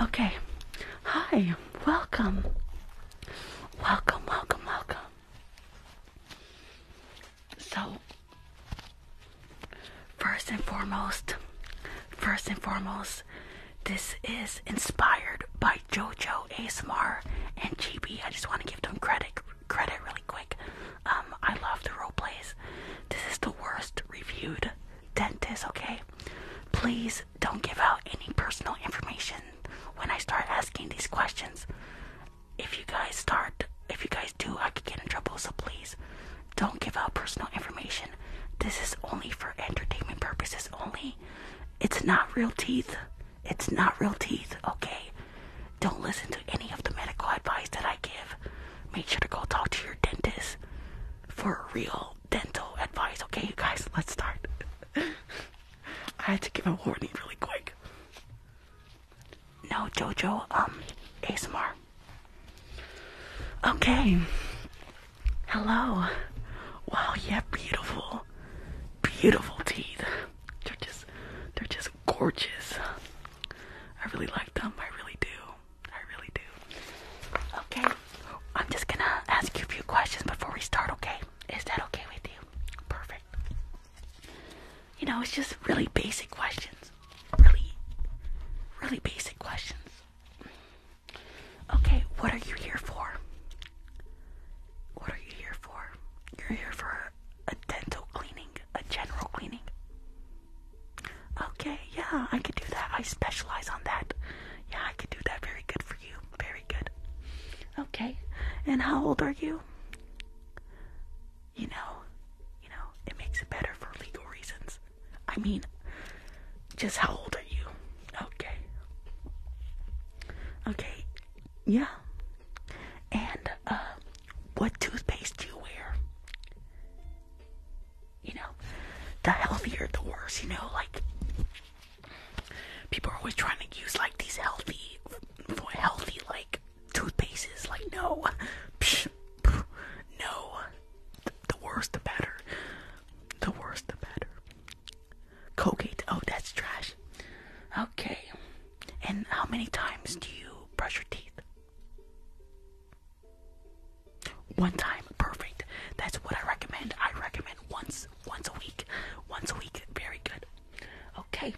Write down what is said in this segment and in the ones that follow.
Okay. Hi. Welcome. Welcome, welcome, welcome. So, first and foremost, first and foremost, this is inspired by JoJo ASMR and GB. I just want to give them credit credit really quick. Um, I love the role plays. This is the worst reviewed dentist, okay? Please don't give out any personal information when I start asking these questions. If you guys start, if you guys do, I could get in trouble, so please don't give out personal information. This is only for entertainment purposes only. It's not real teeth. It's not real teeth, okay? Don't listen to any of the medical advice that I give. Make sure to go talk to your dentist for real dental advice. Okay, you guys, let's start. I had to give a warning really quick. No, Jojo, um, ASMR. Okay. Hello. Wow, yeah, beautiful, beautiful teeth. They're just, they're just gorgeous. I really like them. I really do. I really do. Okay. I'm just gonna ask you a few questions before we start, okay? Is that okay with you? Perfect. You know, it's just really basic questions. Really, really basic questions. Okay, what are you here for? What are you here for? You're here for a dental cleaning, a general cleaning. Okay, yeah, I could do that. I specialize on that. Yeah, I could do that. Very good for you. Very good. Okay, and how old are you? You know, you know, it makes it better for legal reasons. I mean, just how old are you? Okay. Okay, yeah. And, uh, what toothpaste do you wear? You know, the healthier, the worse. You know, like people are always trying to use like these healthy, healthy like toothpastes. Like no, psh, no. The, the worse, the better. The worse, the better. Colgate. Oh, that's trash. Okay. And how many times do you brush your teeth? One time, perfect. That's what I recommend. I recommend once, once a week, once a week. Very good. Okay.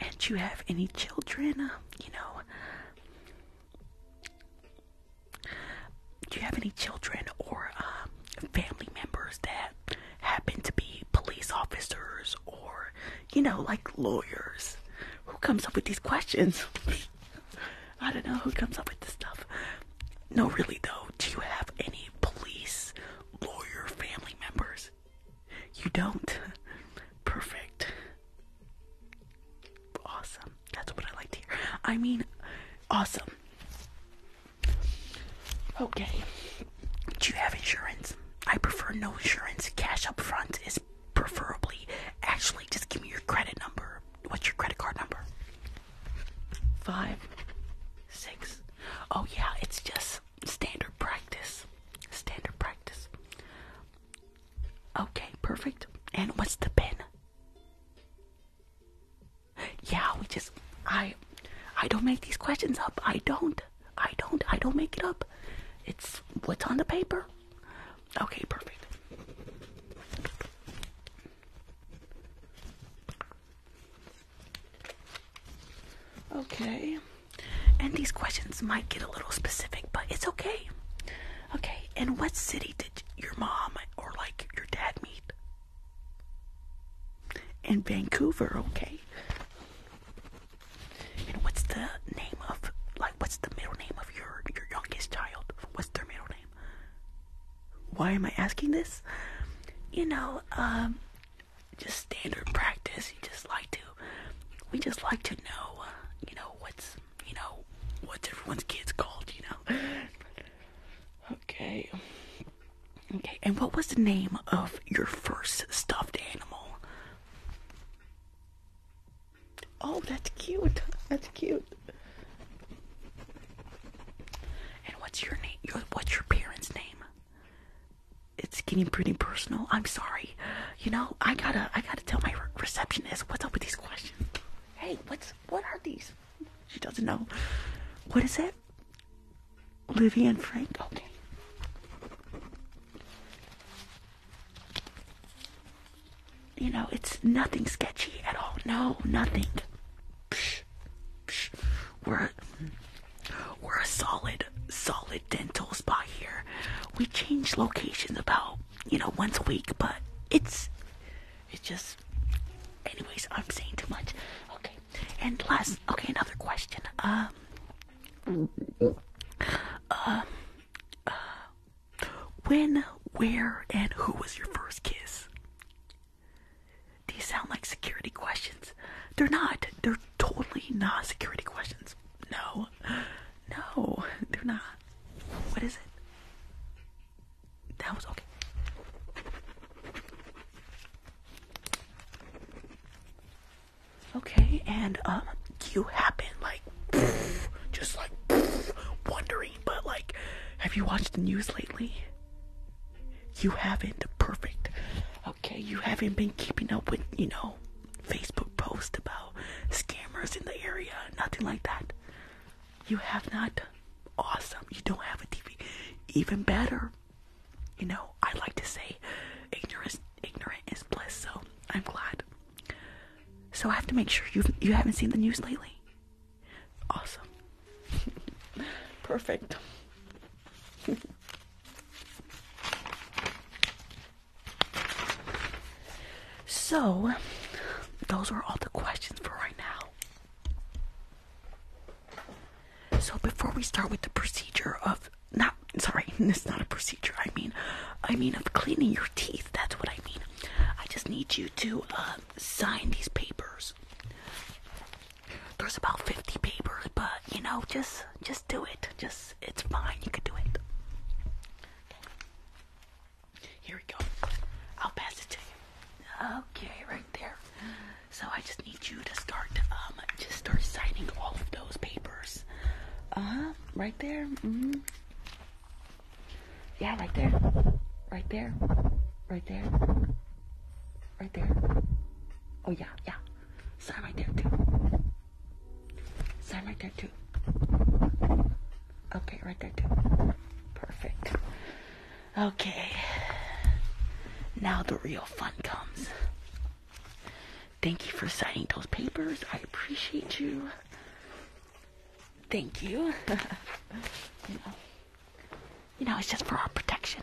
And you have any children? you know. Do you have any children or um, family members that happen to be police officers or you know, like lawyers. Who comes up with these questions? I don't know who comes up with this stuff. No, really, though. Do you have any police, lawyer, family members? You don't? Perfect. Awesome. That's what I like to hear. I mean, awesome. Okay. Do you have insurance? I prefer no insurance. Cash up front is preferably actually just give me your credit number what's your credit card number five six oh yeah it's just standard practice standard practice okay perfect and what's the pin yeah we just i i don't make these questions up i don't I don't. I don't make it up. It's what's on the paper. Okay, perfect. Okay. And these questions might get a little specific, but it's okay. Okay. And what city did your mom or like your dad meet? In Vancouver, okay. And what's the name of like what's the middle name of your your youngest child? What's their middle name? Why am I asking this? You know, um just standard practice. We just like to we just like to know, you know, what's you know, what's everyone's kids called, you know. Okay. Okay, and what was the name of your first stuffed animal? Oh, that's cute. That's cute. And what's your name? Your, what's your parents' name? It's getting pretty personal. I'm sorry. You know, I gotta, I gotta tell my receptionist what's up with these questions. Hey, what's, what are these? She doesn't know. What is it? Livy and Frank. Okay. You know, it's nothing sketchy at all. No, nothing. We're we're a solid, solid dental spot here. We change locations about you know once a week, but it's it's just. Anyways, I'm saying too much. Okay, and last. Okay, another question. Um. um when, where, and who was your first kiss? These sound like security questions. They're not. They're totally not security questions. No. No, they're not. What is it? That was okay. Okay, and um, you happen like just like wondering, but like, have you watched the news lately? You haven't. Perfect. Okay, you haven't been keeping up with you know Facebook post about scammers in the area, nothing like that. You have not. Awesome. You don't have a TV. Even better. You know, I like to say, ignorance, ignorant is bliss. So I'm glad. So I have to make sure you you haven't seen the news lately. Awesome. Perfect. so, those were all the questions for right now. So, before we start with the procedure of not sorry, it's not a procedure. I mean, I mean of cleaning your teeth. That's what I mean. I just need you to uh, sign these papers. There's about 50 papers, but you know, just just do it. Just it's fine. You can do it. Here we go. I'll pass it to you. Okay, right there. So I just need you to start um just start signing all of those papers. Uh right there. Mm-hmm. Yeah, right there. Right there. Right there. Right there. Oh, yeah, yeah. Sign right there, too. Sign right there, too. Okay, right there, too. Perfect. Okay. Now the real fun comes. Thank you for signing those papers. I appreciate you. Thank you. you, know, it's just for our protection.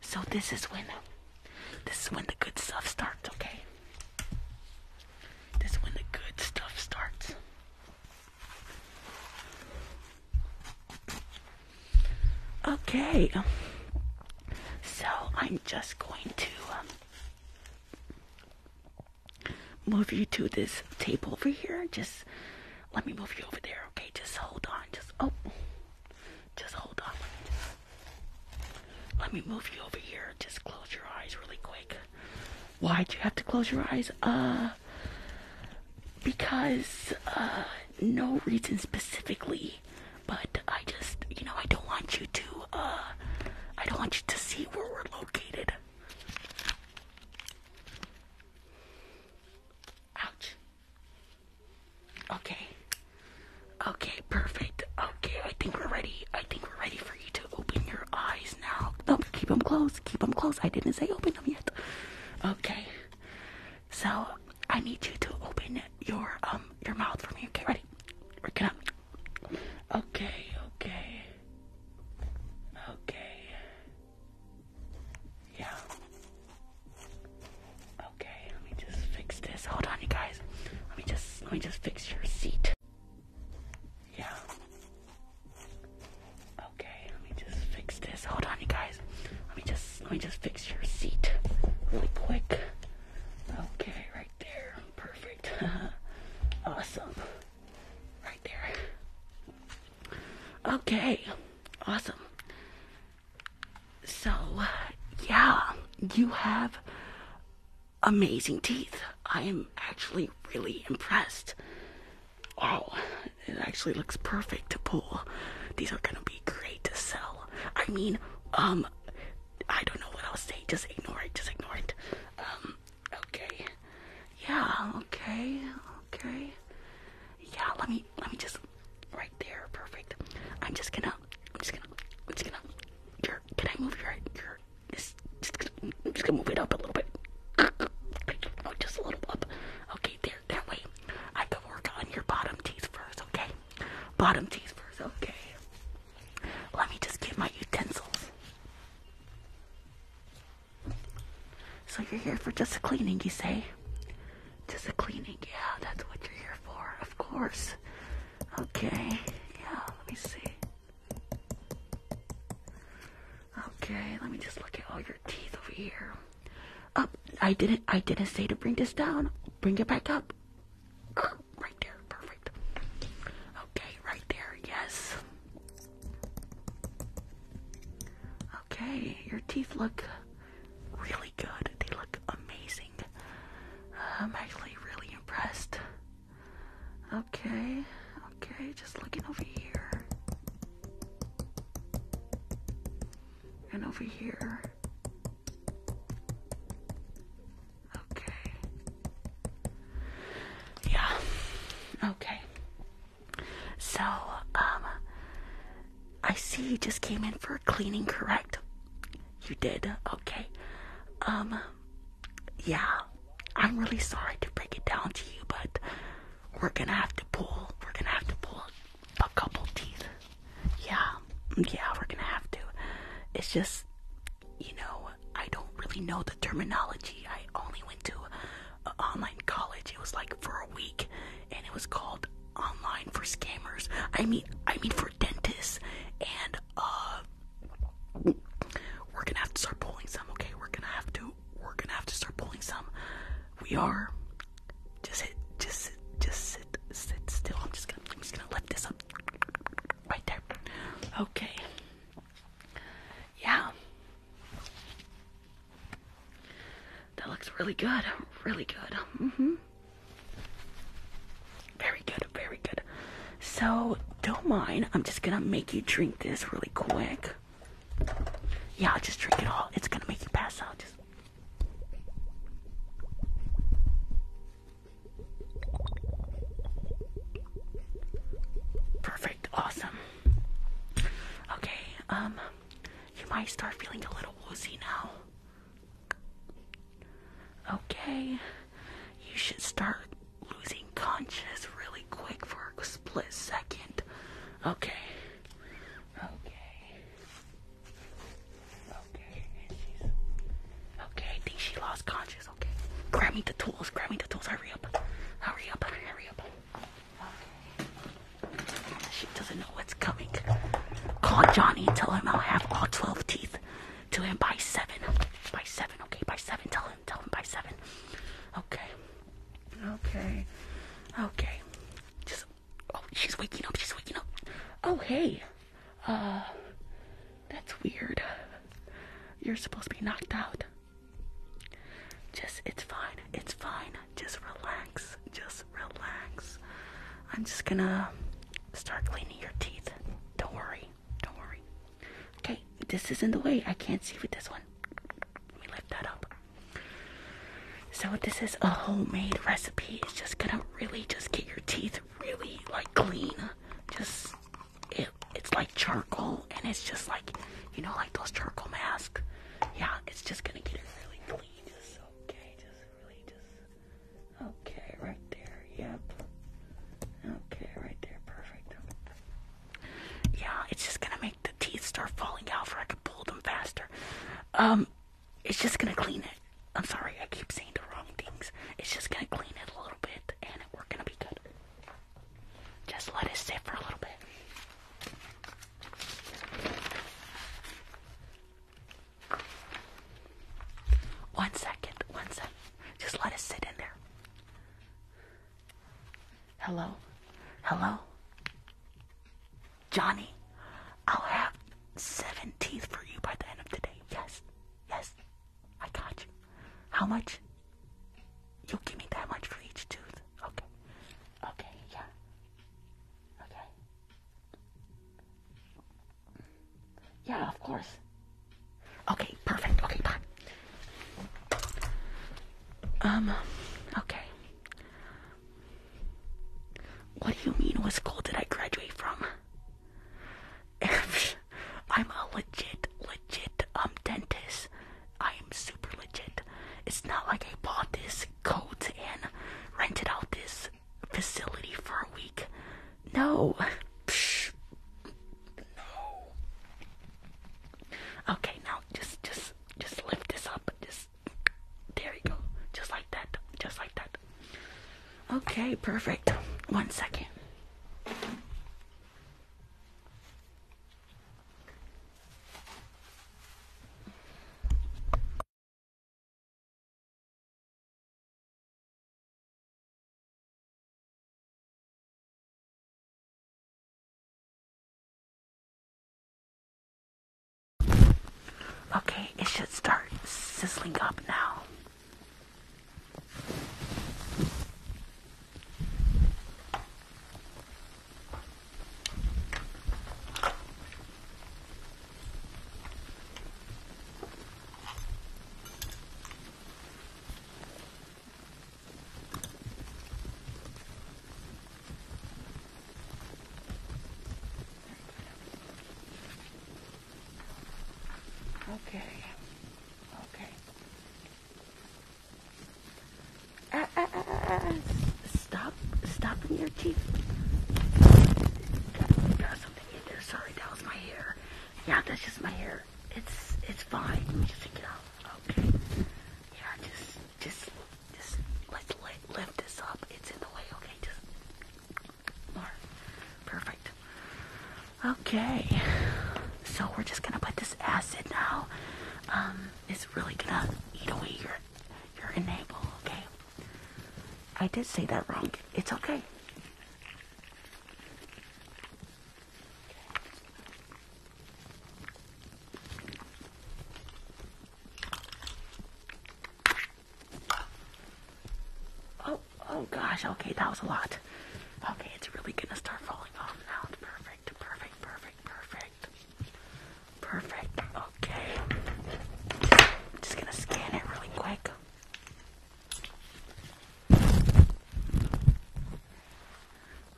So this is when this is when the good stuff starts, okay? This is when the good stuff starts. Okay, um, so I'm just going to um, move you to this table over here. Just let me move you over there, okay? Just hold on. Just, oh, just hold on. let me move you over here. Just close your eyes really quick. Why'd you have to close your eyes? Uh, because, uh, no reason specifically, but I just, you know, I don't want you to, uh, I don't want you to see where we're located. Ouch. Okay. Okay, perfect. Okay, I think we're ready. I think we're ready for you to open your eyes now. No, keep them closed. Keep them closed. I didn't say open them yet. Okay. So I need you to open your um your mouth for me. Okay, ready? We're gonna. Okay, okay, okay. Yeah. Okay, let me just fix this. Hold on, you guys. Let me just let me just fix your seat. Yeah. Okay, let me just fix this. Hold on, you guys. Let me just let me just fix your seat really quick. Okay, right there. Perfect. awesome. Right there. Okay. Awesome. So, yeah, you have amazing teeth. I am actually really impressed. Wow, oh, it actually looks perfect to pull. These are gonna be great to sell. I mean, um, I don't know what I'll say. Just ignore it. Just ignore it. Um, okay. Yeah. Okay. Okay. Yeah. Let me. Let me just. Right there. Perfect. I'm just gonna. I'm just gonna. I'm just gonna. Your. Can I move your your just, just, gonna, I'm just gonna move it up a little bit. Oh, just a little up. Okay, there, that way. I gotta work on your bottom teeth first, okay? Bottom teeth first, okay. Let me just get my utensils. So you're here for just a cleaning, you say? Just a cleaning, yeah, that's what you're here for, of course. Okay, yeah, let me see. Okay, let me just look at all your teeth over here. Up. I didn't I didn't say to bring this down. Bring it back up. Right there. Perfect. Okay, right there. Yes. Okay, your teeth look really good. They look amazing. I'm actually really impressed. Okay, okay, just looking over here. And over here. Okay. Yeah. Okay. So, um, I see you just came in for cleaning, correct? You did. Okay. Um, yeah, I'm really sorry to break it down to you, but we're gonna have to pull. We're gonna have to pull a couple teeth. Yeah, mm, yeah, we're gonna have to. It's just, you know, I don't really know the terminology. I only went to online college. It was like for a week, and it was called online for scammers. I mean, I mean for dentists and uh. We're gonna have to start pulling some, okay? We're gonna have to we're gonna have to start pulling some. We are. Just sit. just sit, just sit, sit still. I'm just gonna, I'm just gonna lift this up right there. Okay. Yeah. That looks really good. Really good. hmm Very good. Very good. So don't mind. I'm just gonna make you drink this really quick. Yeah, just drink it all. It's gonna make you pass out. Perfect. Awesome. Okay. Um, you might start feeling a little woozy now. Okay. You should start losing conscious really quick for a split second. Okay. Okay. Okay. Okay, I think she lost conscious. Okay. Grab me the tools. Grab me the tools. Hurry up. Hurry up. Hurry up. She doesn't know what's coming. Call Johnny tell him I'll have all 12 teeth to him by 7. By 7. Okay, by 7. Tell him. Tell him by 7. Okay. Okay. Okay. Just. Oh, she's waking up. She's waking up. Oh, hey. Uh. That's weird. You're supposed to be knocked out. Just. It's fine. It's fine. Just relax. Just relax. I'm just gonna start cleaning your teeth. Don't worry. Don't worry. Okay, this is not the way. I can't see with this one. Let me lift that up. So this is a homemade recipe. It's just gonna really just get your teeth really like clean. Just it's like charcoal, and it's just like you know, like those charcoal masks. Yeah, it's just gonna get it really clean. okay, just really just okay, right there. Yep. Okay, right there. Perfect. Yeah, it's just gonna make the teeth start falling out for I can pull them faster. Um, it's just gonna clean it. I'm sorry, I keep saying the wrong things. It's just gonna clean it a little bit, and we're gonna be good. Just let it sit for a little bit. One second, one second. Just let it sit in there. Hello? Hello? Johnny, I'll have seven teeth for you by the end of the day. Yes, yes, I got you. How much? you give me that much for each tooth. Okay, okay, yeah, okay. Yeah, of course. Okay, perfect. Okay, bye. Um, okay. What do you mean, what school did I graduate from? I'm a legit, legit, um, dentist. I am super legit. It's not like I bought this coat and rented out this facility for a week. No. Psh, no. Okay, now just just just lift this up just there you go. Just like that. Just like that. Okay, perfect. One second. Okay, it should start sizzling up now. Okay. Okay. Ah ah ah, ah, ah, ah, stop. Stop in your teeth. Sorry, that was my hair. Yeah, that's just my hair. It's it's fine. Let me just take it out. Okay. Yeah, just, just, just let's lift, lift this up. It's in the way. Okay, just Perfect. Okay. So we're just gonna put this acid now. Um, it's really gonna eat away your your enable. Okay. I did say that wrong. It's okay. Oh, oh gosh, okay, that was a lot. Okay, it's really gonna start falling off now. perfect, perfect, perfect, perfect. Perfect, okay. I'm just gonna scan it really quick.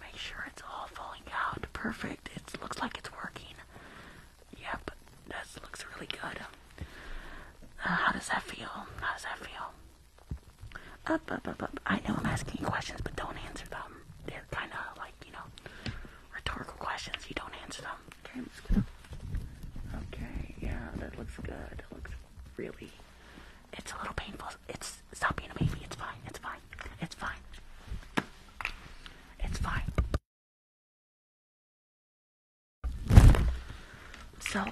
Make sure it's all falling out. Perfect. It looks like it's working. Yep, this looks really good. Uh, how does that feel? How does that feel? Up, up, up, up. I know I'm asking you questions, but don't answer them. They're kind of like, you know, rhetorical questions. You don't answer them. Okay, I'm just Okay, yeah, that looks good. It looks really... It's a little painful it's, stop being a baby, it's fine, it's fine, it's fine, it's fine. So,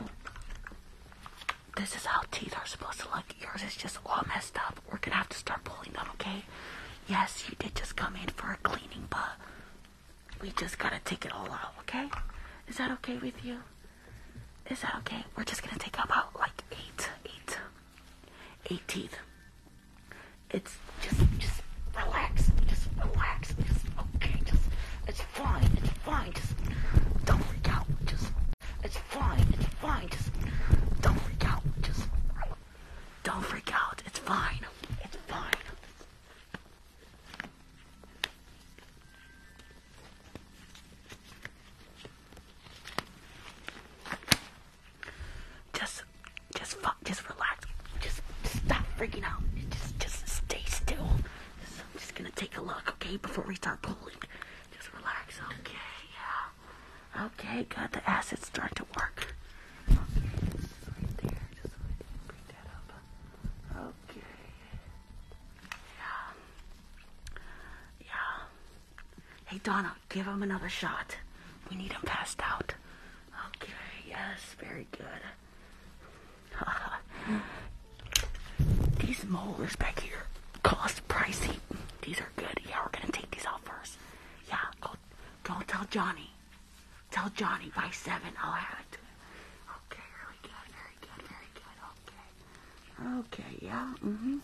this is how teeth are supposed to look. Yours is just all messed up. We're gonna have to start pulling them, okay? Yes, you did just come in for a cleaning, but we just gotta take it all out, okay? Is that okay with you? Is that okay? We're just gonna take out about like eight, eight. 18th. It's just, just relax, just relax, okay, just, it's fine, it's fine, just don't freak out, just, it's fine, it's fine, just don't freak out, just, don't freak out, it's fine, it's fine. Just, just fuck, just relax. Just, just stop freaking out. Just, just stay still. I'm just gonna take a look, okay, before we start pulling. Just relax, okay, yeah. Okay, got the acids start to work. Okay, Okay. Yeah. Yeah. Hey, Donna, give him another shot. We need him passed out. Okay, yes, very good. these molars back here cost pricey. These are good. Yeah, we're gonna take these out first. Yeah, Don't tell Johnny. Tell Johnny by seven I'll have it. Okay, really good, very good, very good. Okay, okay, yeah, mm-hmm.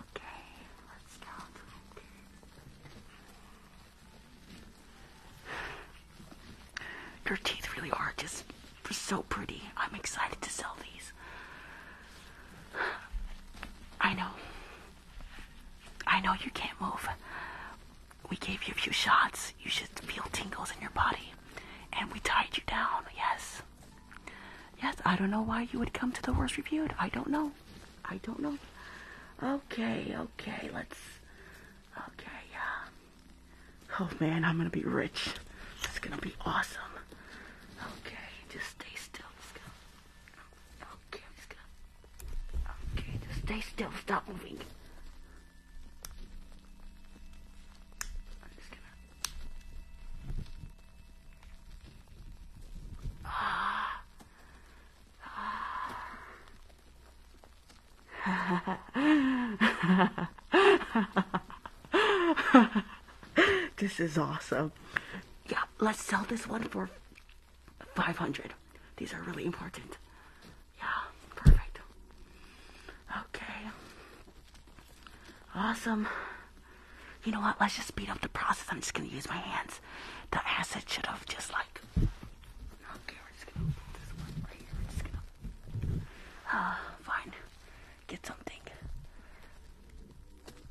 Okay, your teeth really are just so pretty. I'm excited to sell these. I know. I know you can't move. We gave you a few shots. You should feel tingles in your body. And we tied you down, yes. Yes, I don't know why you would come to the worst reviewed. I don't know. I don't know. Okay, okay, let's. Okay, yeah. Oh man, I'm gonna be rich. It's gonna be awesome. Okay, just stay still. okay, just stay still. Stop moving. this is awesome. Yeah, let's sell this one for 500. These are really important. Yeah, perfect. Okay. Awesome. You know what? Let's just speed up the process. I'm just gonna use my hands. The acid should have just like. Okay, we're just gonna put this one right here. just gonna. Uh, fine. Get something.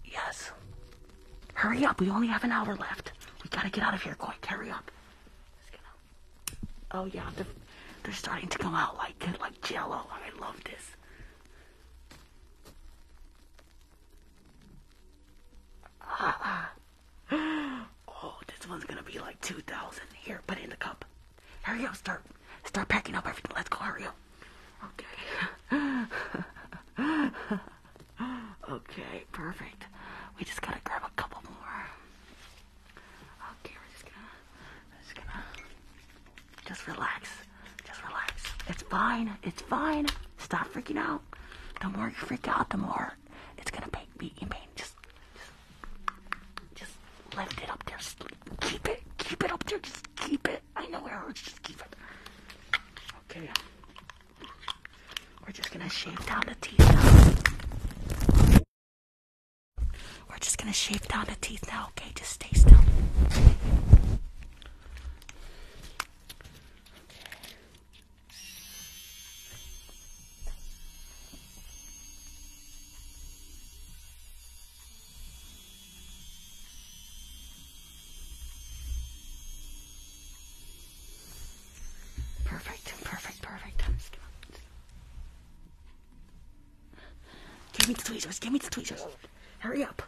Yes. Hurry up. We only have an hour left. We gotta get out of here quick. Hurry up. Oh yeah, they're, they're starting to come out like like jello. I love this. oh, this one's gonna be like 2,000. Here, put in the cup. Hurry up, start, start packing up everything. Let's go, hurry up. Okay. okay, perfect. We just gotta grab a couple more. Okay, we're just gonna, we're just gonna just relax. Just relax. It's fine. It's fine. Stop freaking out. The more you freak out, the more it's gonna be in pain. Just, just, just lift it up there. Just keep it. Keep it up there. Just keep it. I know it hurts. Just keep it. Okay. We're just gonna shave down the teeth We're just gonna shave down the teeth now, okay? Just stay still. Okay. Perfect, perfect, perfect. Give me the tweezers, give me the tweezers. Hurry up.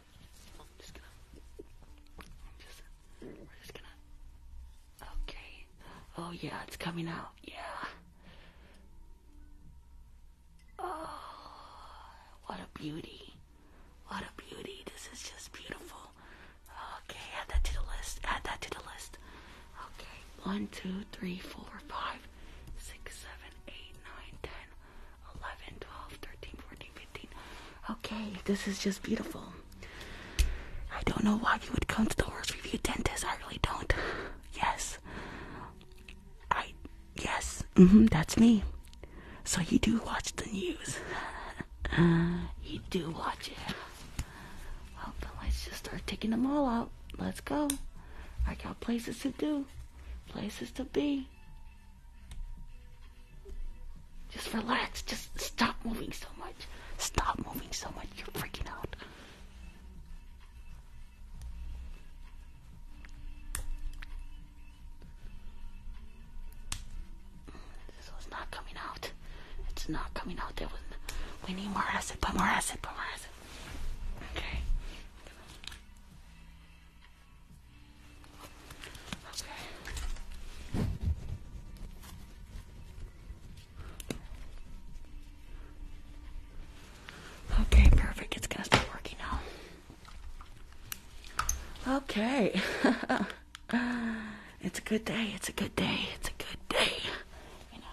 Okay. Oh yeah, it's coming out. Yeah. Oh, what a beauty. What a beauty. This is just beautiful. Okay, add that to the list. Add that to the list. Okay. One, two, three, four, five, six, seven, eight, nine, ten, 11, Okay, this is just beautiful. I don't know why you would come to the worst review dentist. I really don't. Yes. I, yes. Mm-hmm, that's me. So you do watch the news. you do watch it. Well, let's just start taking them all out. Let's go. I got places to do, places to be. Just relax. Just stop moving so much. Stop moving so much. You're freaking out. This was not coming out. It's not coming out. There We need more acid. Put more acid. Put more acid. Okay. Okay. perfect. It's gonna start working now. Okay. it's a good day. It's a good day. It's a good day. You know.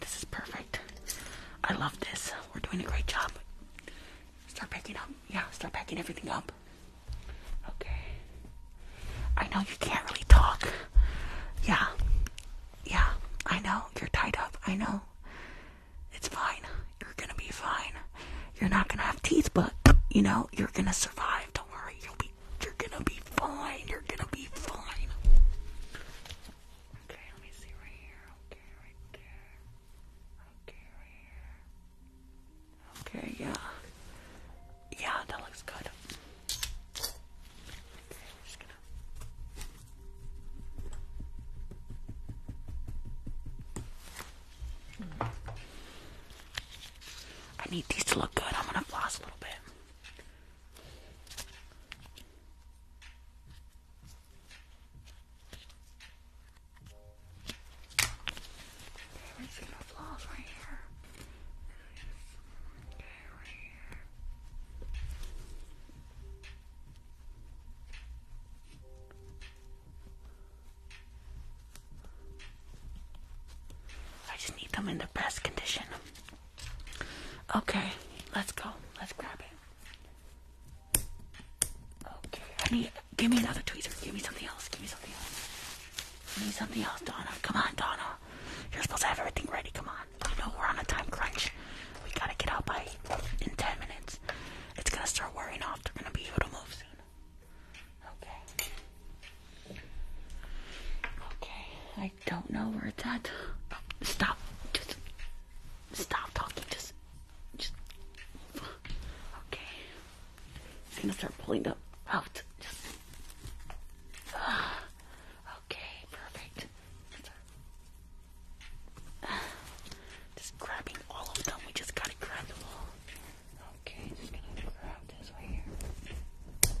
This is perfect. I love this. We're doing a great job. Start packing up. Yeah, start packing everything up. Okay. I know you can't really talk. Yeah. Yeah, I know. You're tied up. I know. It's fine. You're gonna be fine. You're not gonna have teeth, but you know you're gonna survive. Don't worry, you'll be. You're gonna be fine. You're gonna be fine. Okay, let me see right here. Okay, right there. Okay, right here. Okay, yeah. Yeah, that looks good. I need these to look good. I'm gonna floss a little bit. I see my flaws right here. Okay, right here. I just need them in the best condition. Okay, let's go. Let's grab it. Okay, I need. Give me another tweezer. Give me something else. Give me something else. Give me something else, Donna. Come on, Donna. You're supposed to have everything ready. Come on. You know we're on a time crunch. We gotta get out by in ten minutes. It's gonna start wearing off. They're gonna be able to move soon. Okay. Okay. I don't know where it's at. stop. Just stop talking. Just just Okay. It's gonna start pulling the out. Just Okay, perfect. Just grabbing all of them. We just gotta grab them all. Okay, just gonna figure this way here.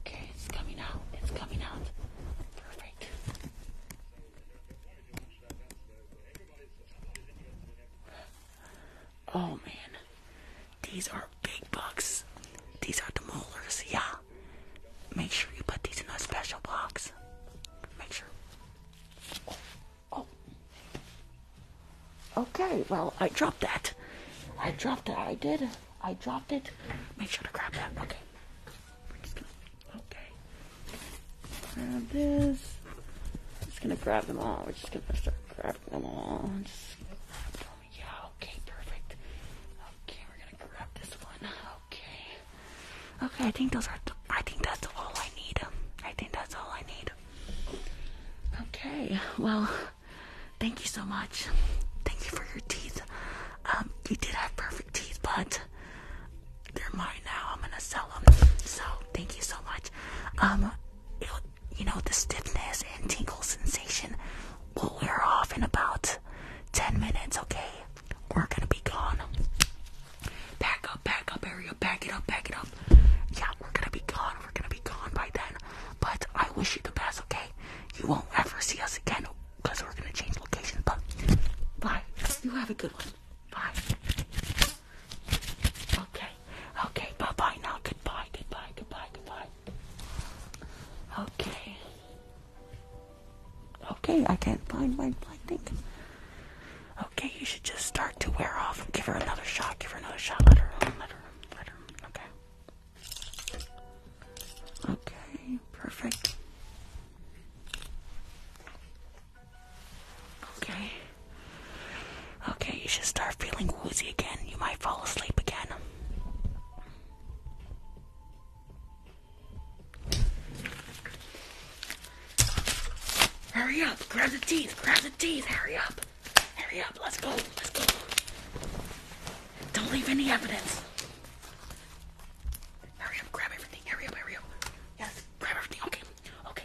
Okay, it's coming out. It's coming out. Perfect. Oh man, these are big bucks. These are the molars, yeah. Make sure you put these in a special box. Make sure. Oh. Okay, well, I dropped that. I dropped it. I did. I dropped it. Make sure to grab that. Okay. Okay. Grab this. i just gonna grab them all. We're just gonna start grabbing them all. Yeah, okay, perfect. Okay, we're gonna grab this one. Okay. Okay, I think those are the I think that's all I need. I think that's all I need. Okay, well, thank you so much. Thank you for your teeth. Um, you did have perfect teeth, but they're mine now. I'm gonna sell them. So thank you so much. Um, it, you know the stiffness and tingle sensation will wear off in about ten minutes. Okay, we're gonna be gone. Back up, back up, area, Back it up, back it up. Yeah, we're gonna be gone, we're gonna be gone by then. But I wish you the best, okay? You won't ever see us again because we're gonna change location. But bye. You have a good one. Bye. Okay, okay, bye bye now. Goodbye, goodbye, goodbye, goodbye. Okay. Okay, I can't find my, my thing. Okay, you should just start to wear off. Give her another shot. Give her another shot. Let her. Let her. Let her. Okay. Okay. Perfect. Okay. Okay, you should start feeling woozy again. You might fall asleep again. Hurry up! Grab the teeth! Grab the teeth! Hurry up! Hurry up! Let's go! Let's go! Don't leave any evidence! Hurry up! Grab everything! Hurry up! Hurry up! Yes! Grab everything! Okay! Okay!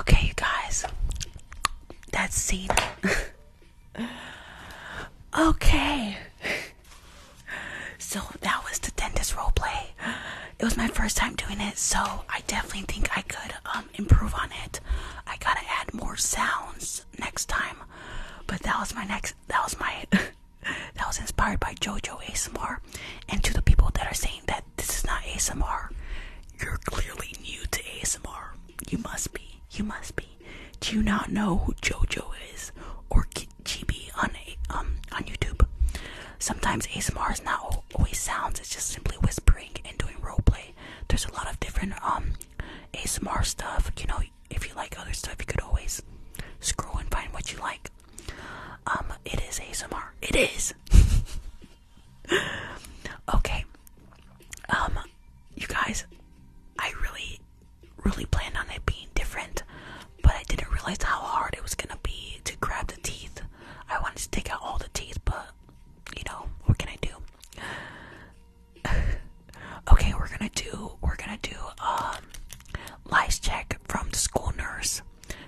Okay, guys. That's scene. okay. So that was the dentist roleplay. It was my first time doing it, so I definitely think I could um um, improve on it. I gotta add more sounds next time. But that was my next. That was my. that was inspired by JoJo ASMR. And to the people that are saying that this is not ASMR, you're clearly new to ASMR. You must be. You must be. Do you not know who JoJo is or GB on um on YouTube? Sometimes ASMR is not always sounds. It's just simply whispering and doing roleplay. There's a lot of different um ASMR stuff. You know, if you like other stuff, you could always scroll and find what you like. Um, it is ASMR. It is. okay. Um, you guys, I really, really planned on it being different, but I didn't realize how hard it was gonna be to grab the teeth. I wanted to take out all the teeth, but you know, what can I do? okay, we're gonna do we're gonna do a, um, life check from the school nurse.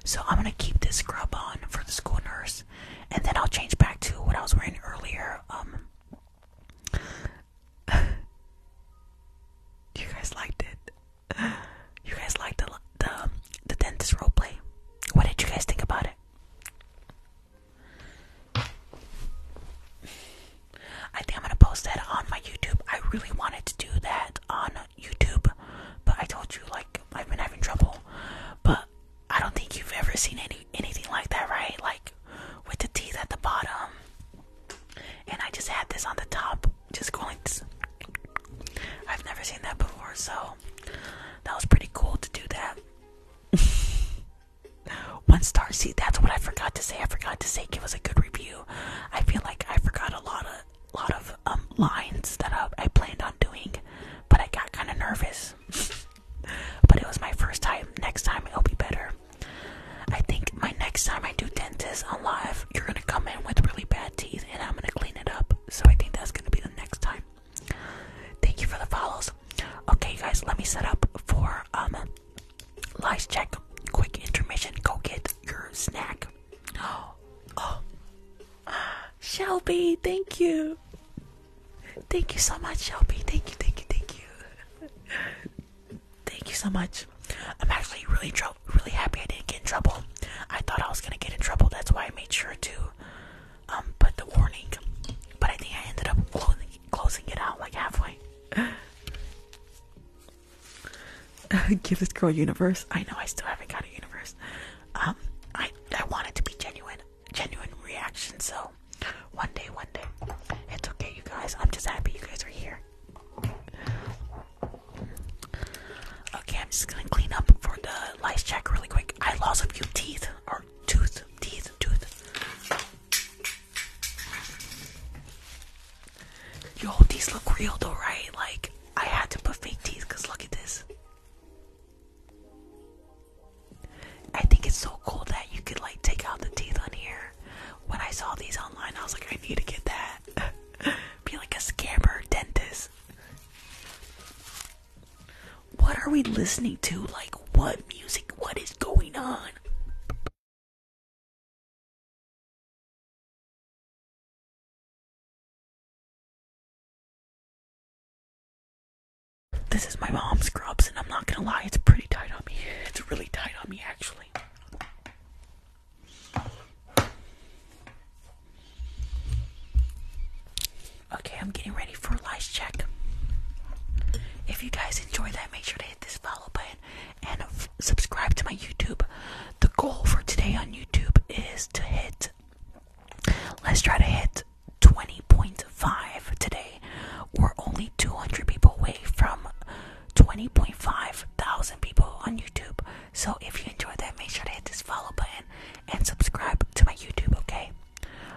So I'm gonna keep this scrub on for the school nurse, and then I'll change back to what I was wearing earlier. Um, you guys liked it. You guys liked the the the dentist roleplay. What did you guys think about it? I think I'm gonna post that on my YouTube. I really wanted to do that on YouTube, but I told you like I've been having trouble. But I don't think you've ever seen any anything like that, right? Like with the teeth at the bottom, and I just had this on the top, just going. I've never seen that before, so that was pretty cool to do that. One star. See, that's what I forgot to say. I forgot to say give us a good review. I feel like I forgot a lot of lot of um, lines that I, I planned on doing, but I got kind of nervous. but it was my first time. Next time it'll be better. I think my next time I do dentist on live, you're gonna come in with really bad teeth, and I'm gonna clean it up. So I think that's gonna be the next time. Thank you for the follows. Okay, guys, let me set up for um lies check. Quick intermission. Go get your snack. Oh, oh, Shelby, thank you. Thank you so much, Shelby. Thank you, thank you, thank you. Thank you so much. I'm actually really really happy I didn't get in trouble. I thought I was gonna get in trouble. That's why I made sure to um, but the warning. But I think I ended up closing, closing it out like halfway. Give this girl universe. I know I still haven't got a universe. Um, I I want it to be genuine, genuine reaction. So one day, one day, it's okay, you guys. I'm just happy you guys are here. Okay, I'm just gonna clean up for the lice check really quick. I lost a few teeth, tooth, teeth, tooth. Yo, these look real though, right? Like, I had to put fake teeth because look at this. I think it's so cool that you could like take out the teeth on here. When I saw these online, I was like, I need to get that. Be like a scammer dentist. What are we listening to? Like, what music? What is going on? This is my mom's scrubs, and I'm not gonna lie, it's pretty tight on me. It's really tight on me, actually. Okay, I'm getting ready for a lights check. If you guys enjoyed that, make sure to hit this follow button and subscribe to my YouTube. The goal for today on YouTube is to hit, let's try to hit 20.5 today. We're only 200 people away from 20.5 thousand people on YouTube. So if you enjoyed that, make sure to hit this follow button and subscribe to my YouTube, okay?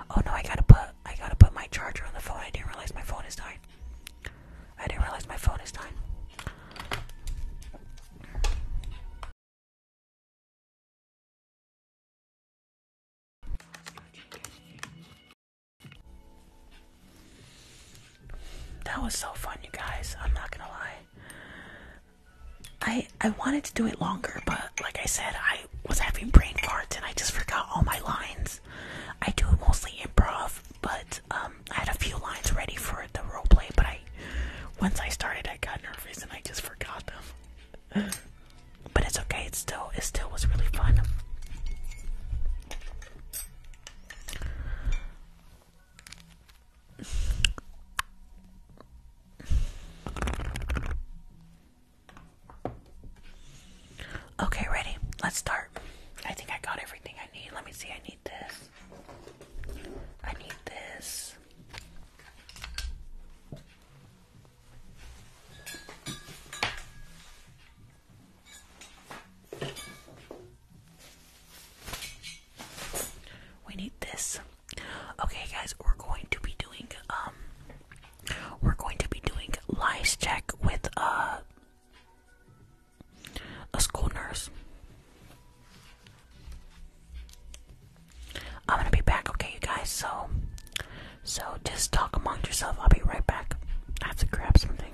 Oh no, I gotta put I gotta put my charger on the phone. I didn't realize my phone is dying. I didn't realize my phone is dying. That was so fun, you guys. I'm not gonna lie. I I wanted to do it longer, but like I said, I I was having brain farts and I just forgot all my lines. I do mostly improv, but um, I had a few lines ready for the role play, but I once I started, I got nervous and I just forgot them. but it's okay. It still it still was really fun. Okay, ready? Let's start. I think I got everything I need. Let me see. I need this. I need this. We need this. Okay, guys, we're going to be doing um we're going to be doing lice check with uh, a school nurse. I'm gonna be back, okay, you guys. So, so just talk amongst yourself. I'll be right back. I have to grab something.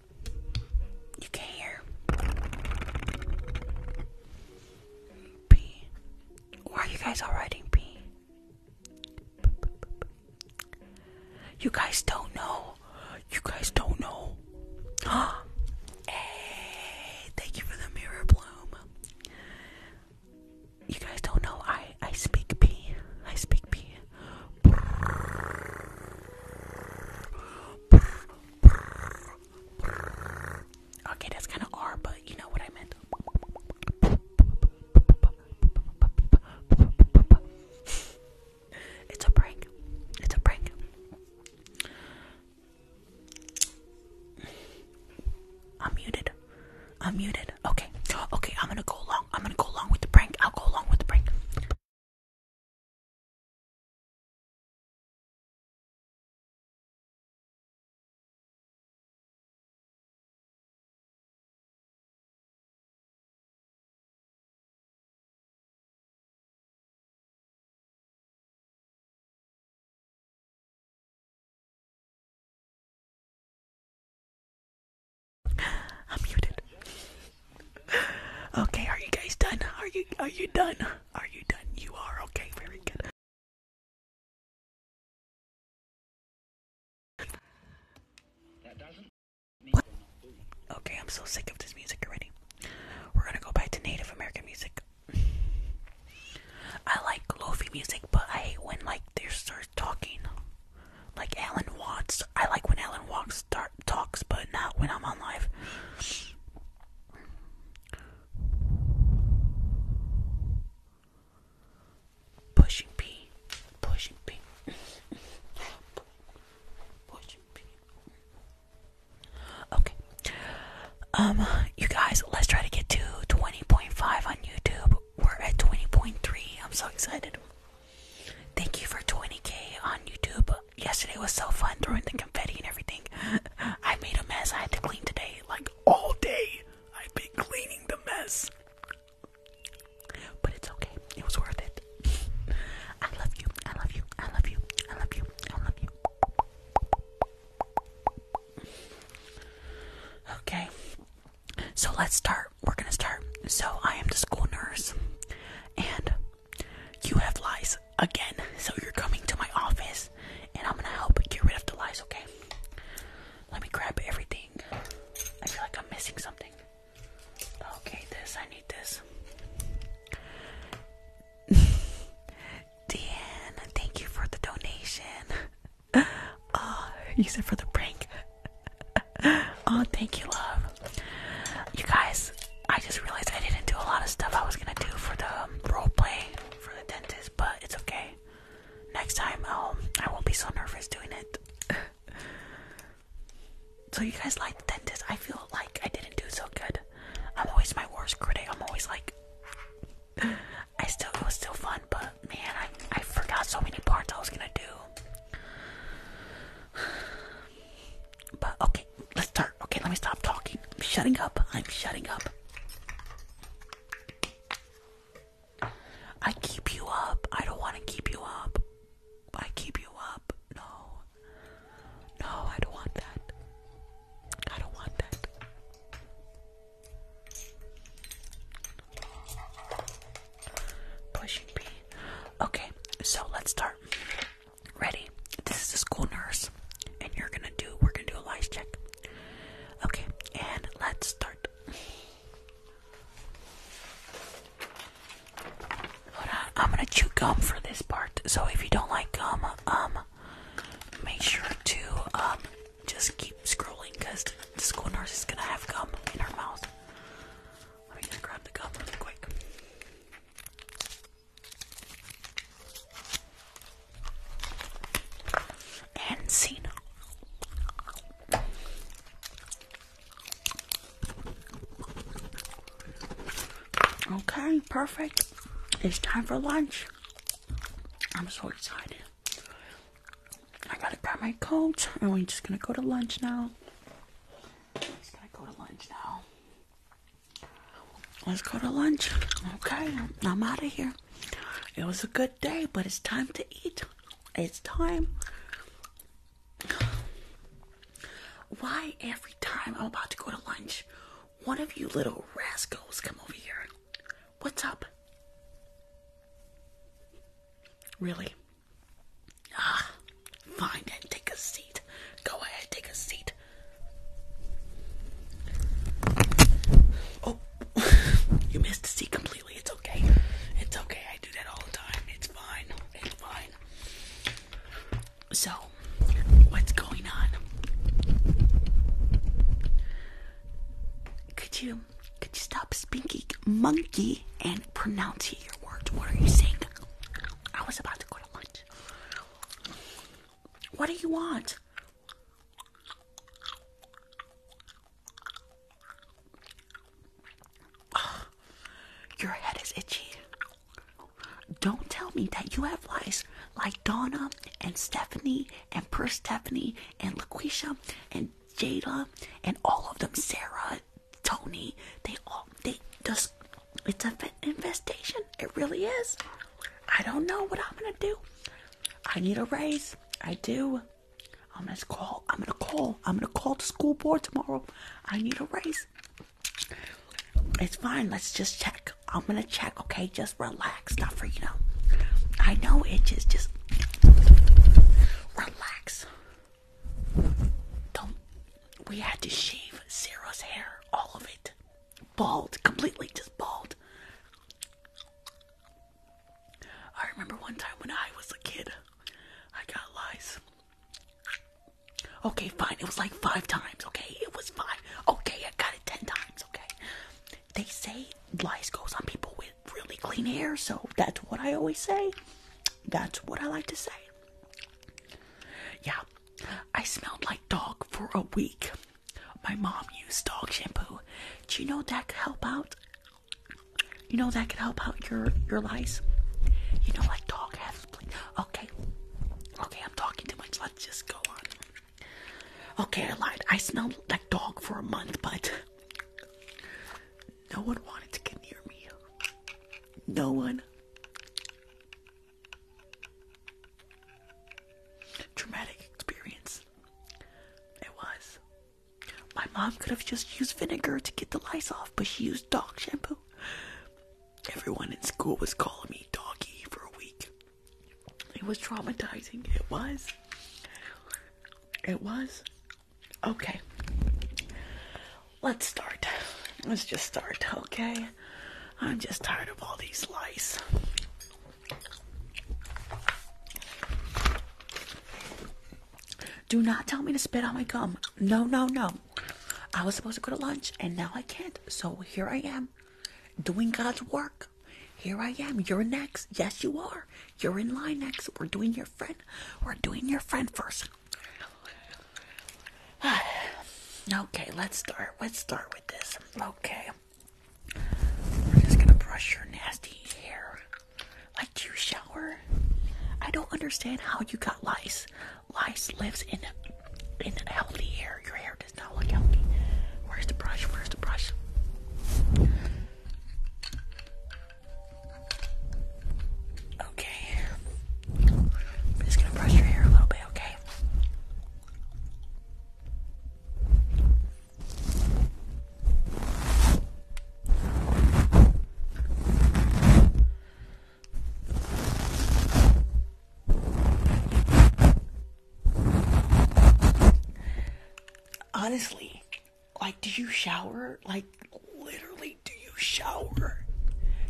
You can hear P. Why are you guys all writing P? You guys don't know. You guys don't know. hey, thank you for the mirror bloom. You guys don't know. I I speak P. I speak P. Okay, that's kind of R, but you know what I meant. It's a prank. It's a prank. I'm muted. I'm muted. Okay. Okay, I'm gonna go along. I'm gonna go along with the prank. I'll go along with the prank. I'm muted. Okay, are you guys done? Are you are you done? Are you done? You are okay, very good. What? Okay, I'm so sick of this music already. We're gonna go back to Native American music. I like lofi music, but I hate when like they start talking. Like Alan Watts, I like when Alan Watts start talks, but not when I'm on live. Pushing P, pushing P, Okay. Um, you guys, let's try to get to 20.5 on YouTube. We're at 20.3. I'm so excited. Thank you for 20k on YouTube yesterday was so fun throwing the confetti and everything. I made a mess. I had to clean today, like all day. I've been cleaning the mess. But it's okay. It was worth it. I love you. I love you. I love you. I love you. I love you. Okay. So let's start. We're going to start. So I am the school nurse and you have lies again, so you're coming to my office and I'm gonna help get rid of the lies, okay? Let me grab everything. I feel like I'm missing something. Okay, this, I need this. Deanne, thank you for the donation. Ah, you said for the prank. oh, thank you, love. You guys, I just realized I didn't do a lot of stuff I was gonna do for the um, role play for the dentist, but it's okay. Next time, um, I won't be so nervous doing it. so you guys like the dentist? I feel like I didn't do so good. I'm always my worst critic. I'm always like, I still it was still fun, but man, I I forgot so many parts I was gonna do. But okay, let's start. Okay, let me stop talking. I'm shutting up. I'm shutting up. I keep you up. I don't want to keep you up. I keep you up. No. No, I don't want that. I don't want that. Pushing B. Okay, so let's start. Ready? This is the school nurse, and you're gonna do. We're gonna do a lice check. Okay, and let's start. Hold on, I'm gonna chew gum for this part. So if you don't like gum, um, make sure to um just keep scrolling because the school nurse is gonna have gum in her mouth. Let me just grab the gum really quick and Cena. Okay, perfect. It's time for lunch. I'm so excited. I gotta grab my coat and we're just gonna go to lunch now. Just gonna go to lunch now. Let's go to lunch. Okay, I'm out of here. It was a good day, but it's time to eat. It's time. Why every time I'm about to go to lunch, one of you little rascals come over here? What's up? Really? Ah, fine then, take a seat. Go ahead, take a seat. Oh, you missed the seat completely. It's okay. It's okay. I do that all the time. It's fine. It's fine. So, what's going on? Could you could you stop speaking monkey and pronounce your words? What are you saying? I was about to go to lunch. What do you want? your head is itchy. Don't tell me that you have lice like Donna and Stephanie and Per Stephanie and LaQuisha and Jada and all of them, Sarah, Tony, they all it's a infestation. It really is. I don't know what I'm gonna do. I need a raise. I do. I'm gonna call. I'm gonna call. I'm gonna call the school board tomorrow. I need a raise. It's fine. Let's just check. I'm gonna check. Okay, just relax. Not for you know. I know itches. Just relax. Don't. We had to shave Sarah's hair, all of it bald, completely just bald. I remember one time when I was a kid, I got lice. Okay, fine. It was like five times, okay? It was five. Okay, I got it ten times, okay? They say lice goes on people with really clean hair, so that's what I always say. That's what I like to say. Yeah, I smelled like dog for a week. My mom used dog shampoo. Do you know that could help out? You know that could help out your your lice. You know, like dog has. Okay, okay, I'm talking too much. Let's just go on. Okay, I lied. I smelled like dog for a month, but no one wanted to get near me. No one. Traumatic experience. It was. My mom could have just used vinegar to get the lice off, but she used dog shampoo. Everyone in school was calling me doggy for a week. It was traumatizing. It was. It was. Okay. Let's start. Let's just start, okay? I'm just tired of all these lice. Do not tell me to spit out my gum. No, no, no. I was supposed to go to lunch and now I can't. So here I am doing God's work. Here I am. You're next. Yes, you are. You're in line next. We're doing your friend. We're doing your friend first. okay, let's start. Let's start with this. Okay. We're just gonna brush your nasty hair. Like, do you shower? I don't understand how you got lice. Lice lives in in healthy hair. Your hair does not look healthy. Where's the brush? Where's the brush? Okay. just gonna brush your hair a little bit, okay? Honestly, like, do you shower? Like, literally, do you shower?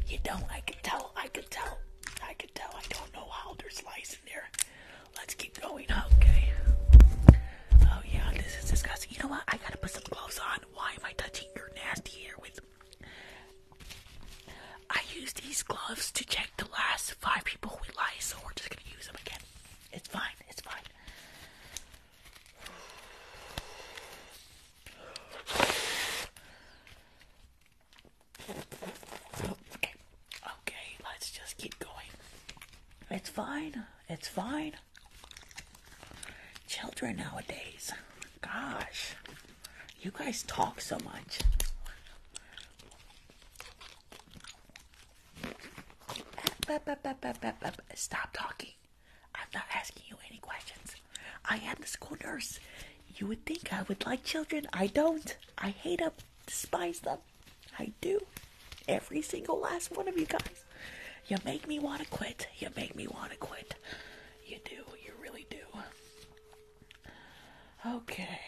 You don't. I can tell. I can tell. I can tell I don't know how there's are in there. Let's keep going, okay? Oh yeah, this is disgusting. You know what? I gotta put some gloves on. Why am I touching your nasty hair with? I use these gloves to check the last five people with lice, so we're just gonna use them again. It's fine. It's fine. Okay. Okay, let's just keep going. It's fine. It's fine. Children nowadays. Gosh. You guys talk so much. Stop talking. I'm not asking you any questions. I am the school nurse. You would think I would like children. I don't. I hate them, despise them. I do. Every single last one of you guys. You make me want to quit. You make me want to quit. You do. You really do. Okay.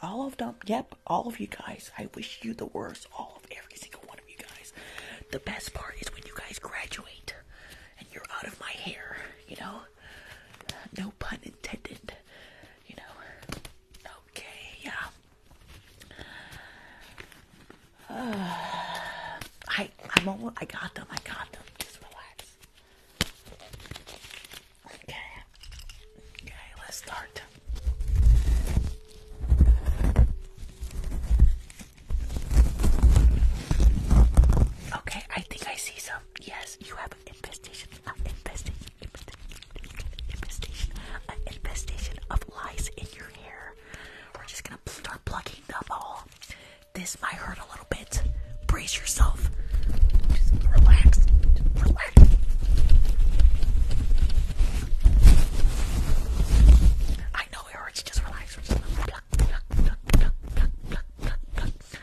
All of them. Yep, all of you guys. I wish you the worst. All of every single one of you guys. The best part is when you guys graduate and you're out of my hair, you know? no pun intended, you know. Okay, yeah. I I'm almost I got them. I got them. Just relax. Okay. Okay, let's start. Okay, I think I see some. Um, yes, you have an infestation, an infestation, infestation, an infestation of lice in your hair. We're just gonna start plugging them all. This might hurt a little bit. Brace yourself. Just relax. relax. I know it Just relax. Just pluck, pluck, pluck, pluck, pluck, pluck, pluck.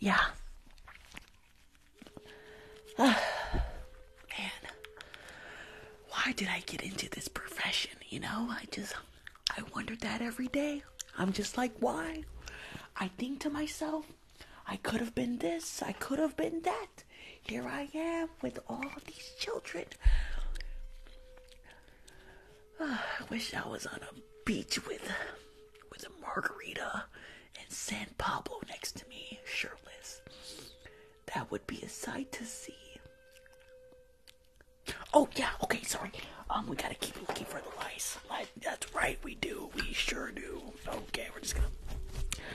yeah. man, why did I get into this profession? You know, I just, I wondered that every day. I'm just like, why? I think to myself, I could have been this, I could have been that. Here I am with all these children. Ah, I wish I was on a beach with with a margarita and San Pablo next to me, shirtless. That would be a sight to see. Oh yeah, okay, sorry. Um, we gotta keep looking for the lice. that's right, we do. We sure do. Okay, we're just gonna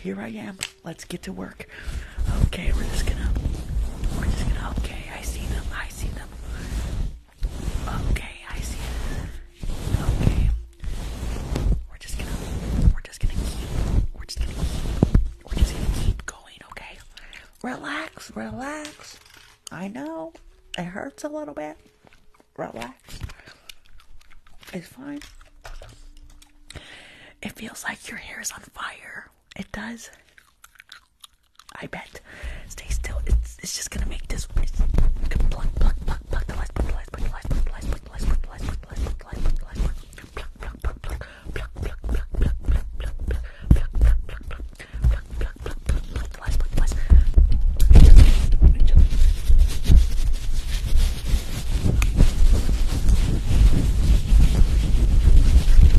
here I am. Let's get to work. Okay, we're just gonna. We're just gonna. Okay, I see them. I see them. Okay, I see them. Okay. We're just gonna. We're just gonna keep. We're just gonna keep. We're just gonna keep going, okay? Relax, relax. I know. It hurts a little bit relax. It's fine. It feels like your hair is on fire. It does. I bet. Stay still. It's it's just gonna make this. It's,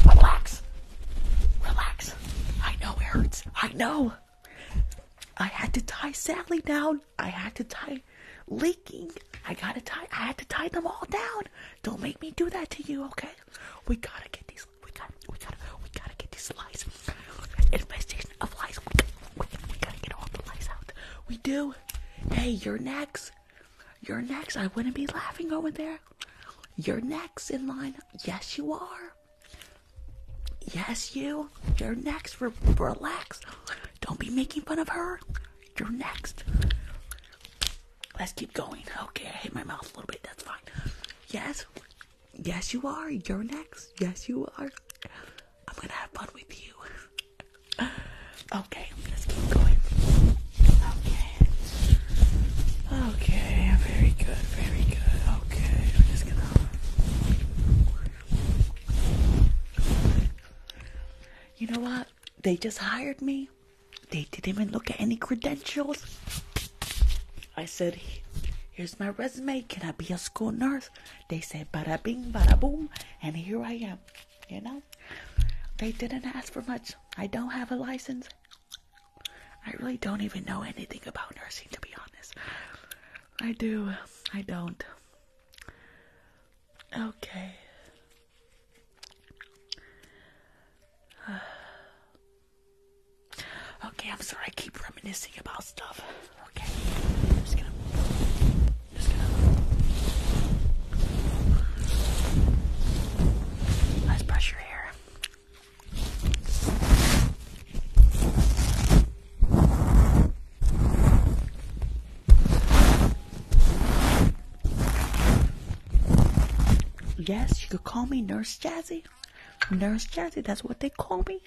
Relax. Relax. I know it I know. I had to tie Sally down. I had to tie leaking. I gotta tie I had to tie them all down. Don't make me do that to you, okay? We gotta get these we gotta we gotta we gotta get these lies. Investigation we, do. Hey, you're next. You're next. I wouldn't be laughing over there. You're next in line. Yes, you are. Yes, you. You're next. relax. Don't be making fun of her. You're next. Let's keep going. Okay, I hit my mouth a little bit. That's fine. Yes. Yes, you are. You're next. Yes, you are. I'm gonna have fun with you. okay, let's keep going. Okay. Okay, very good, very good. Okay, we're just gonna. You know what? They just hired me. They didn't even look at any credentials. I said, Here's my resume. Can I be a school nurse? They said bada bing, bada boom, and here I am. You know, they didn't ask for much. I don't have a license. I really don't even know anything about nursing, to be honest. I do, I don't. Okay. okay, I'm sorry, I keep reminiscing about stuff. Okay. just gonna. Just gonna. Let's brush your hair. Yes, you could call me Nurse Jazzy. Nurse Jazzy, that's what they call me.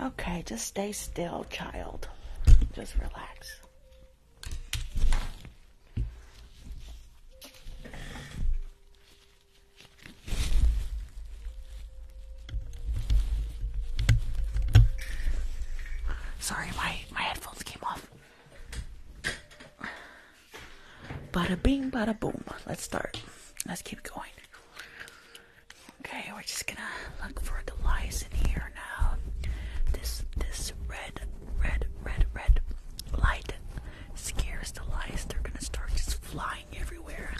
Okay, just stay still, child. Just relax. Sorry, my, my headphones came off. Bada bing, bada boom. Let's start. Let's keep going. Okay, we're just gonna look for the lice in here now. This this red, red, red, red light scares the lice. They're gonna start just flying everywhere.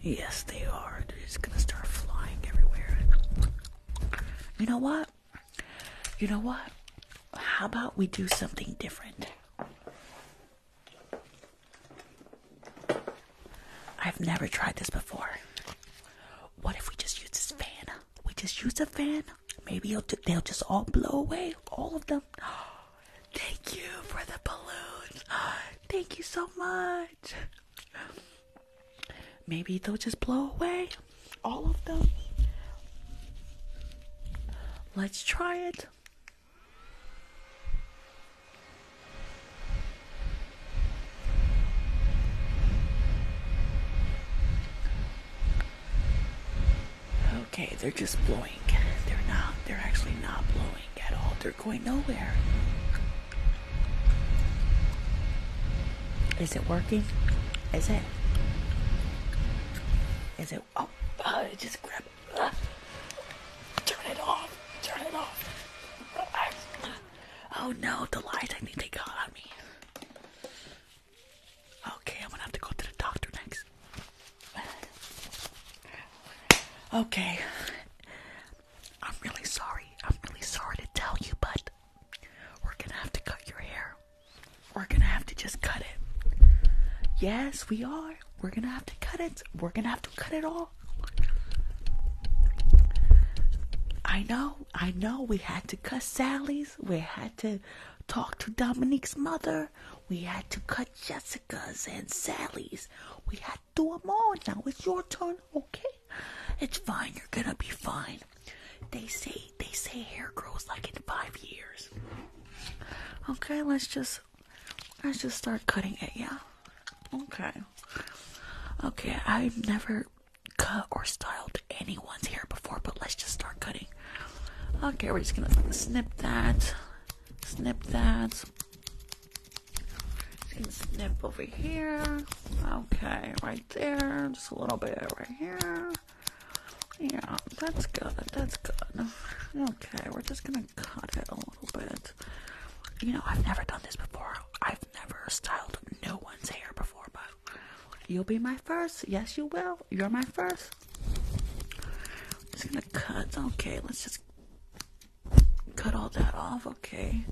Yes, they are. They're just gonna start flying everywhere. You know what? You know what? How about we do something different? I've never tried this before. What if we just use this fan? We just use a fan. Maybe they'll just all blow away, all of them. Thank you for the balloons. Thank you so much. Maybe they'll just blow away, all of them. Let's try it. Okay, they're just blowing. They're not, they're actually not blowing at all. They're going nowhere. Is it working? Is it? Is it? Oh, uh, just grab. it. Uh, turn it off. Turn it off. Oh no, the lights! I think they got on me. Okay, I'm gonna have to go to the doctor next. Okay. I'm really sorry. I'm really sorry to tell you, but we're gonna have to cut your hair. We're gonna have to just cut it. Yes, we are. We're gonna have to cut it. We're gonna have to cut it all. I know, I know we had to cut Sally's, we had to talk to Dominique's mother, we had to cut Jessica's and Sally's. We had to do them all. Now it's your turn, okay? It's fine, you're gonna be fine. They say they say hair grows like in five years. Okay, let's just let's just start cutting it, yeah? Okay. Okay, I've never cut or styled anyone's hair before, but let's just start cutting. Okay, we're just gonna snip that, snip that. Just gonna snip over here. Okay, right there. Just a little bit right here. Yeah, that's good. That's good. Okay, we're just gonna cut it little bit. You know, I've never done this before. I've never styled no one's hair before, but you'll be my first. Yes, you will. You're my first. just gonna cut. Okay, let's just cut all that off. Okay.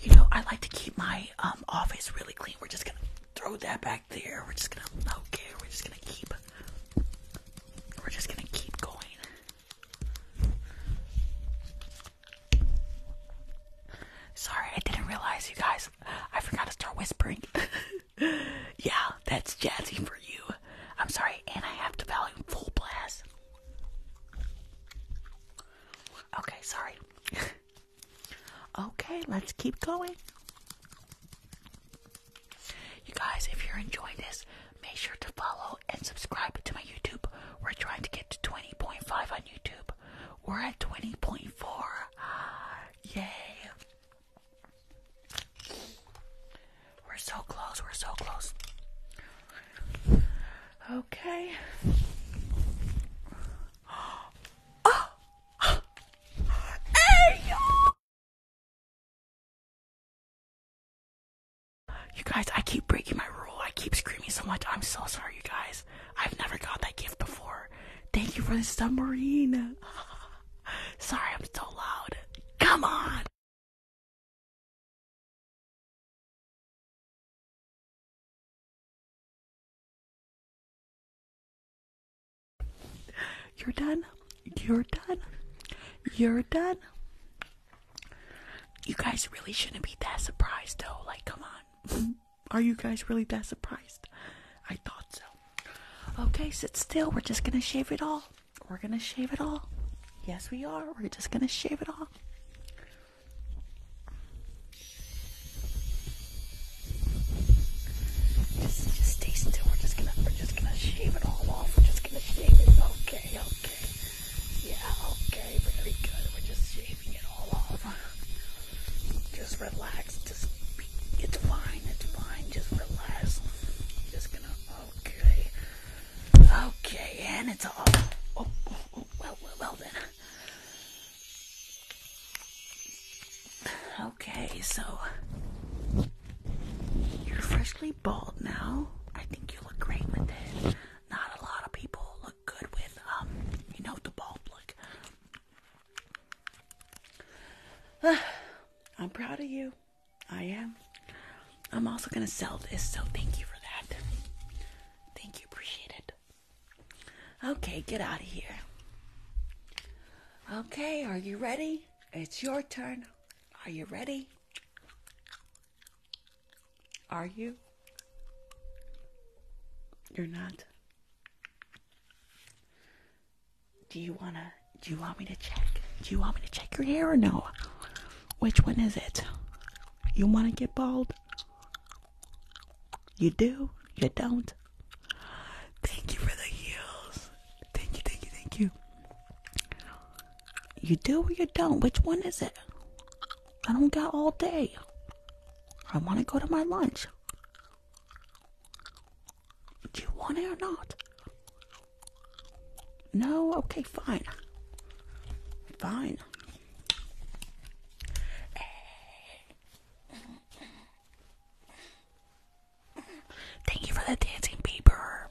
You know, I like to keep my um, office really clean. We're just gonna throw that back there. We're just gonna okay. We're just gonna keep. We're just gonna keep going. Sorry, I didn't realize you guys. I forgot to start whispering. yeah, that's jazzy for you. I'm sorry, and I have the volume full blast. Okay, sorry. okay, let's keep going. You guys, if you're enjoying this, make sure to follow and subscribe to my YouTube. We're trying to get to 20.5 on YouTube. We're at 20.4. Yay. We're so close. We're so close. Okay. Oh. Hey, you guys, I keep breaking my rule. I keep screaming so much. I'm so sorry, you guys. I've never got that gift before. Thank you for the submarine. sorry, I'm so loud. Come on. You're done. You're done. You're done. You guys really shouldn't be that surprised though. Like, come on. Are you guys really that surprised? I thought so. Okay, sit still. We're just gonna shave it all. We're gonna shave it all. Yes, we are. We're just gonna shave it all. Just, just stay still. We're just gonna, we're just gonna shave it all off. We're just gonna shave it. Okay, okay. Yeah, okay, very good. We're just shaving it all off. Just relax. Just, it's fine, it's fine. Just relax. Just gonna, okay. Okay, and it's all, oh, oh, oh, well, well, then. Okay, so, you're freshly bald now. I think you look great with it. Not a lot of people good with, um, you know, the ball look. I'm proud of you. I am. I'm also going to sell this, so thank you for that. Thank you, appreciate it. Okay, get out of here. Okay, are you ready? It's your turn. Are you ready? Are you? You're not. Do you wanna? Do you want me to check? Do you want me to check your hair or no? Which one is it? You wanna get bald? You do? You don't? Thank you for the heels. Thank you, thank you, thank you. You do or you don't? Which one is it? I don't got all day. I want to go to my lunch. Do you want it or not? No? Okay, fine. Fine. Thank you for the dancing, Bieber.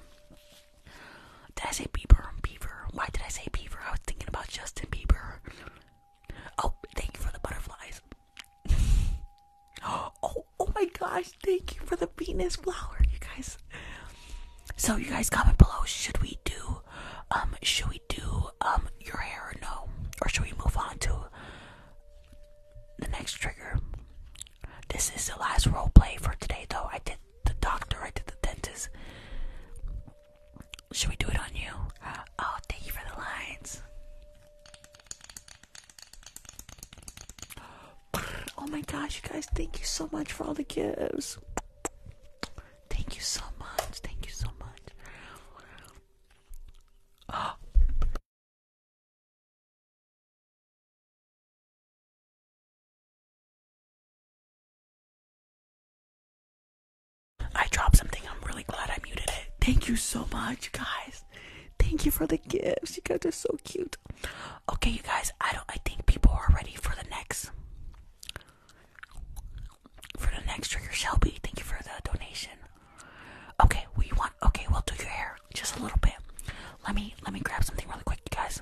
Did I say Beaver? Beaver. Why did I say Beaver? I was thinking about Justin Bieber. Oh, thank you for the butterflies. oh, oh my gosh, thank you for the Venus flower, you guys. So you guys comment below, should we do um should we do um your hair or no? Or should we move on to the next trigger? This is the last role play for today though. I did the doctor, I did the dentist. Should we do it on you? Uh, oh, thank you for the lines. Oh my gosh, you guys, thank you so much for all the gifts. Thank you so much. Thank you so much. I dropped something. I'm really glad I muted it. Thank you so much, guys. Thank you for the gifts. You guys are so cute. Okay, you guys, I don't I think people are ready for the next for the next trigger Shelby. Thank you for the donation. Okay, we want okay, we'll do your hair just a little bit. Let me let me grab something really quick, you guys.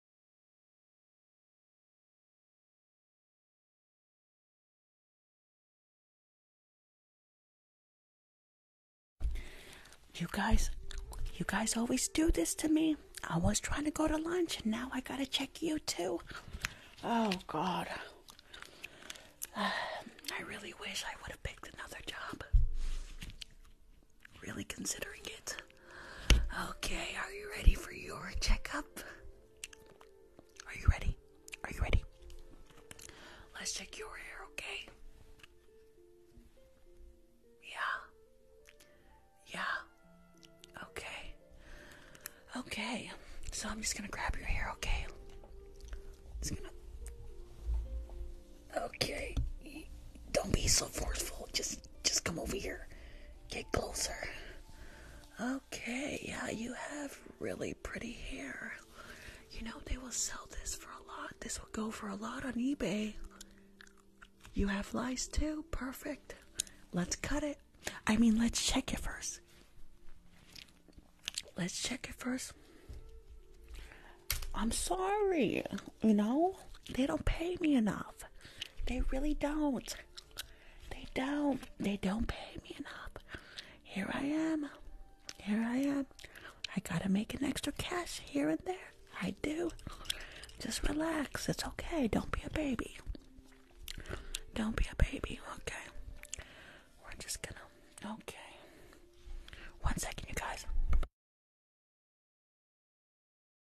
You guys, you guys always do this to me. I was trying to go to lunch and now I gotta check you too. Oh God. I really wish I would have picked another job. Really considering it. Okay, are you ready for your checkup? Are you ready? Are you ready? Let's check your hair, okay? Yeah. Yeah. Okay. Okay. So I'm just gonna grab your hair, okay? Just gonna Okay. Don't be so forceful. Just just come over here. Get closer. Okay, yeah, you have really pretty hair. You know, they will sell this for a lot. This will go for a lot on eBay. You have lice too? Perfect. Let's cut it. I mean, let's check it first. Let's check it first. I'm sorry, you know, they don't pay me enough. They really don't. They don't. They don't pay me enough. Here I am. Here I am. I gotta make an extra cash here and there. I do. Just relax. It's okay. Don't be a baby. Don't be a baby. Okay. We're just gonna. Okay. One second, you guys.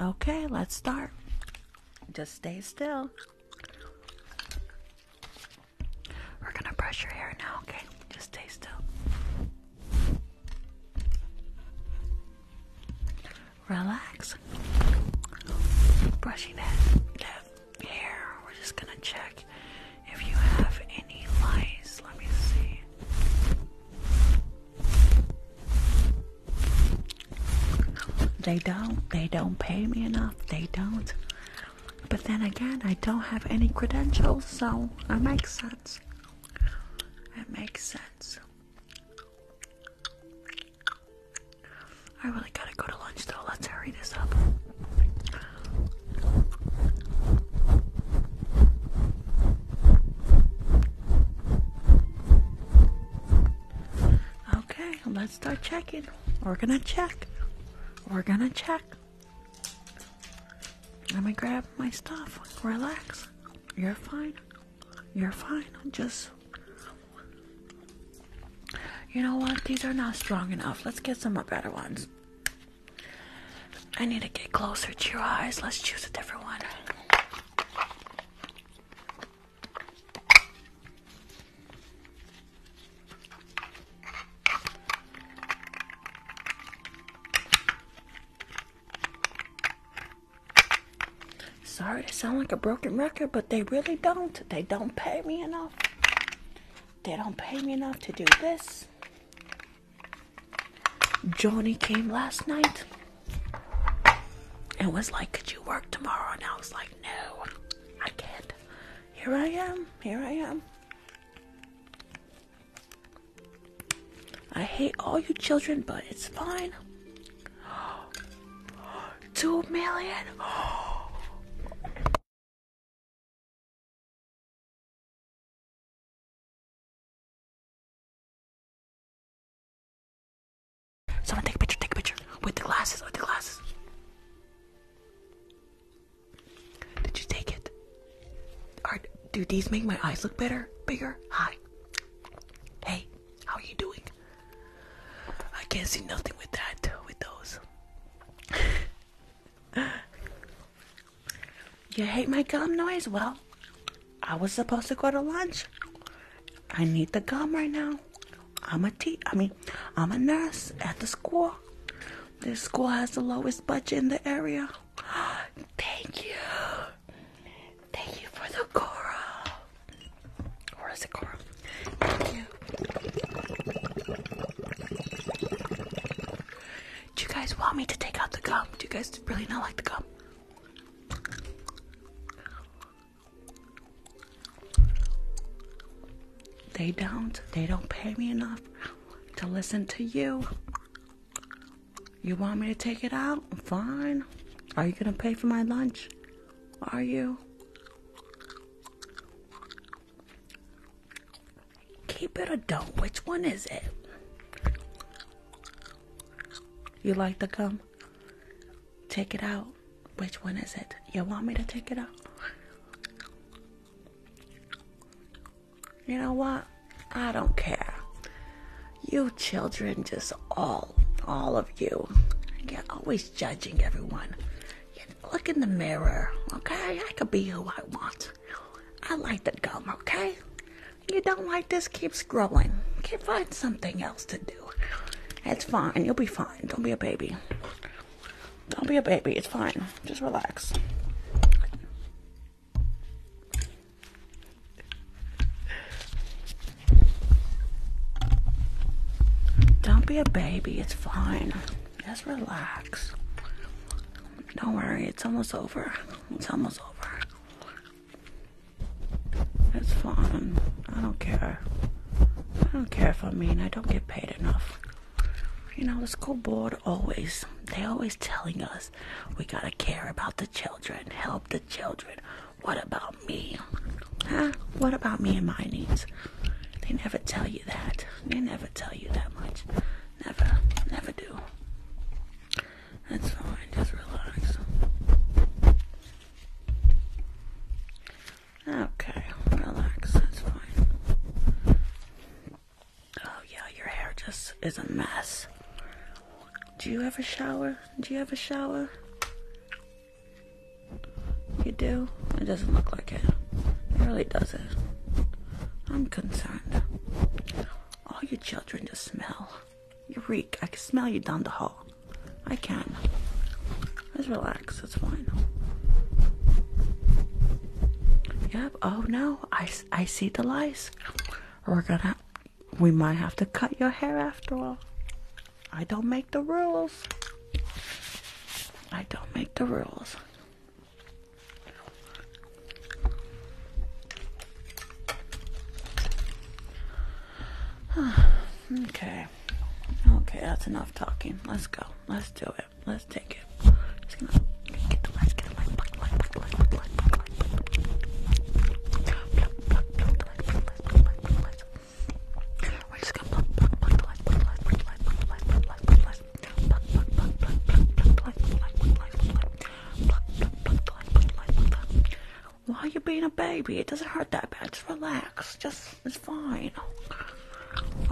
Okay, let's start. Just stay still. We're gonna brush your hair now, okay? Just stay still. Relax. Brushing that, hair, we're just gonna check if you have any lice. Let me see. They don't. They don't pay me enough. They don't. But then again, I don't have any credentials, so it makes sense. It makes sense. I really gotta go to lunch though. Let's hurry this up. Okay, let's start checking. We're gonna check. We're gonna check. Let me grab my stuff. Relax. You're fine. You're fine. Just you know what? These are not strong enough. Let's get some better ones. I need to get closer to your eyes. Let's choose a different one. Sorry to sound like a broken record, but they really don't. They don't pay me enough. They don't pay me enough to do this. Johnny came last night It was like, Could you work tomorrow? And I was like, No, I can't. Here I am. Here I am. I hate all you children, but it's fine. Two million. Someone take a picture, take a picture. With the glasses, with the glasses. Did you take it? Are, do these make my eyes look better? Bigger? Hi. Hey, how are you doing? I can't see nothing with that, with those. you hate my gum noise? Well, I was supposed to go to lunch. I need the gum right now. I'm a te- I mean, I'm a nurse at the school. This school has the lowest budget in the area. Thank you. Thank you for the coral. Where is the it coral? Thank you. Do you guys want me to take out the gum? Do you guys really not like the gum? They don't. They don't pay me enough to listen to you. You want me to take it out? Fine. Are you gonna pay for my lunch? Are you? Keep it or don't. Which one is it? You like the gum? Take it out. Which one is it? You want me to take it out? You know what? I don't care. You children, just all, all of you, you're always judging everyone. You look in the mirror, okay? I could be who I want. I like the gum, okay? You don't like this? Keep scrolling. Keep find something else to do. It's fine. You'll be fine. Don't be a baby. Don't be a baby. It's fine. Just relax. Don't be a baby, it's fine. Just relax. Don't worry, it's almost over. It's almost over. It's fine. I don't care. I don't care if I mean I don't get paid enough. You know, the school board always, they always telling us we gotta care about the children, help the children. What about me? Huh? What about me and my needs? They never tell you that. They never tell you that much. Never, never do. That's fine, just relax. Okay, relax, that's fine. Oh yeah, your hair just is a mess. Do you have a shower? Do you have a shower? You do? It doesn't look like it. It really doesn't. I'm concerned. All your children just smell. You reek. I can smell you down the hall. I can. Just relax. That's fine. Yep. Oh no. I, I see the lice. We're gonna. We might have to cut your hair after all. I don't make the rules. I don't make the rules. okay. Okay, that's enough talking. Let's go. Let's do it. Let's take it. Why are you being a baby? It doesn't hurt that bad. Just relax. Just it's fine.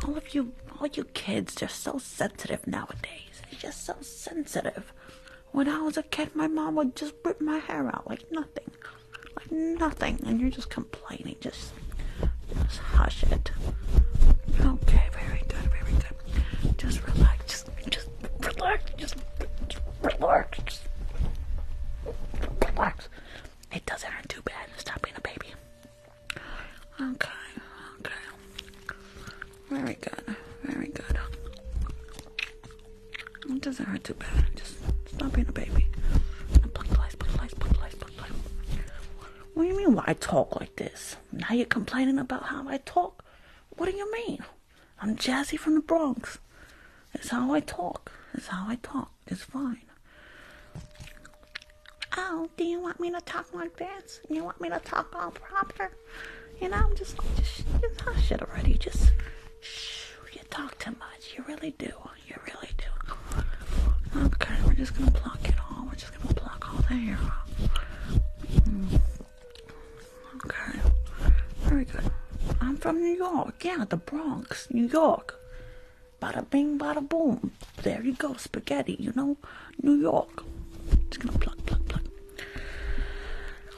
All of you, all you kids, just so sensitive nowadays. just so sensitive. When I was a kid, my mom would just rip my hair out like nothing. Like nothing. And you're just complaining. Just, just hush it. Okay, very good, very good. Just relax. Just, just relax. Just, just relax. Just relax. It doesn't hurt too bad. Stop being a baby. Okay, okay. Very good, very good. It doesn't hurt too bad. Just stop being a baby. What do you mean why I talk like this? Now you're complaining about how I talk? What do you mean? I'm Jazzy from the Bronx. That's how I talk. That's how I talk. It's fine. Oh, do you want me to talk like this? You want me to talk all proper? You know, I'm just, just, just hush already. Just you talk too much. You really do. You really do. Okay, we're just gonna pluck it all. We're just gonna pluck all the hair off. Hmm. Okay. Very good. I'm from New York. Yeah, the Bronx, New York. Bada bing, bada boom. There you go, spaghetti, you know? New York. Just gonna pluck, pluck, pluck.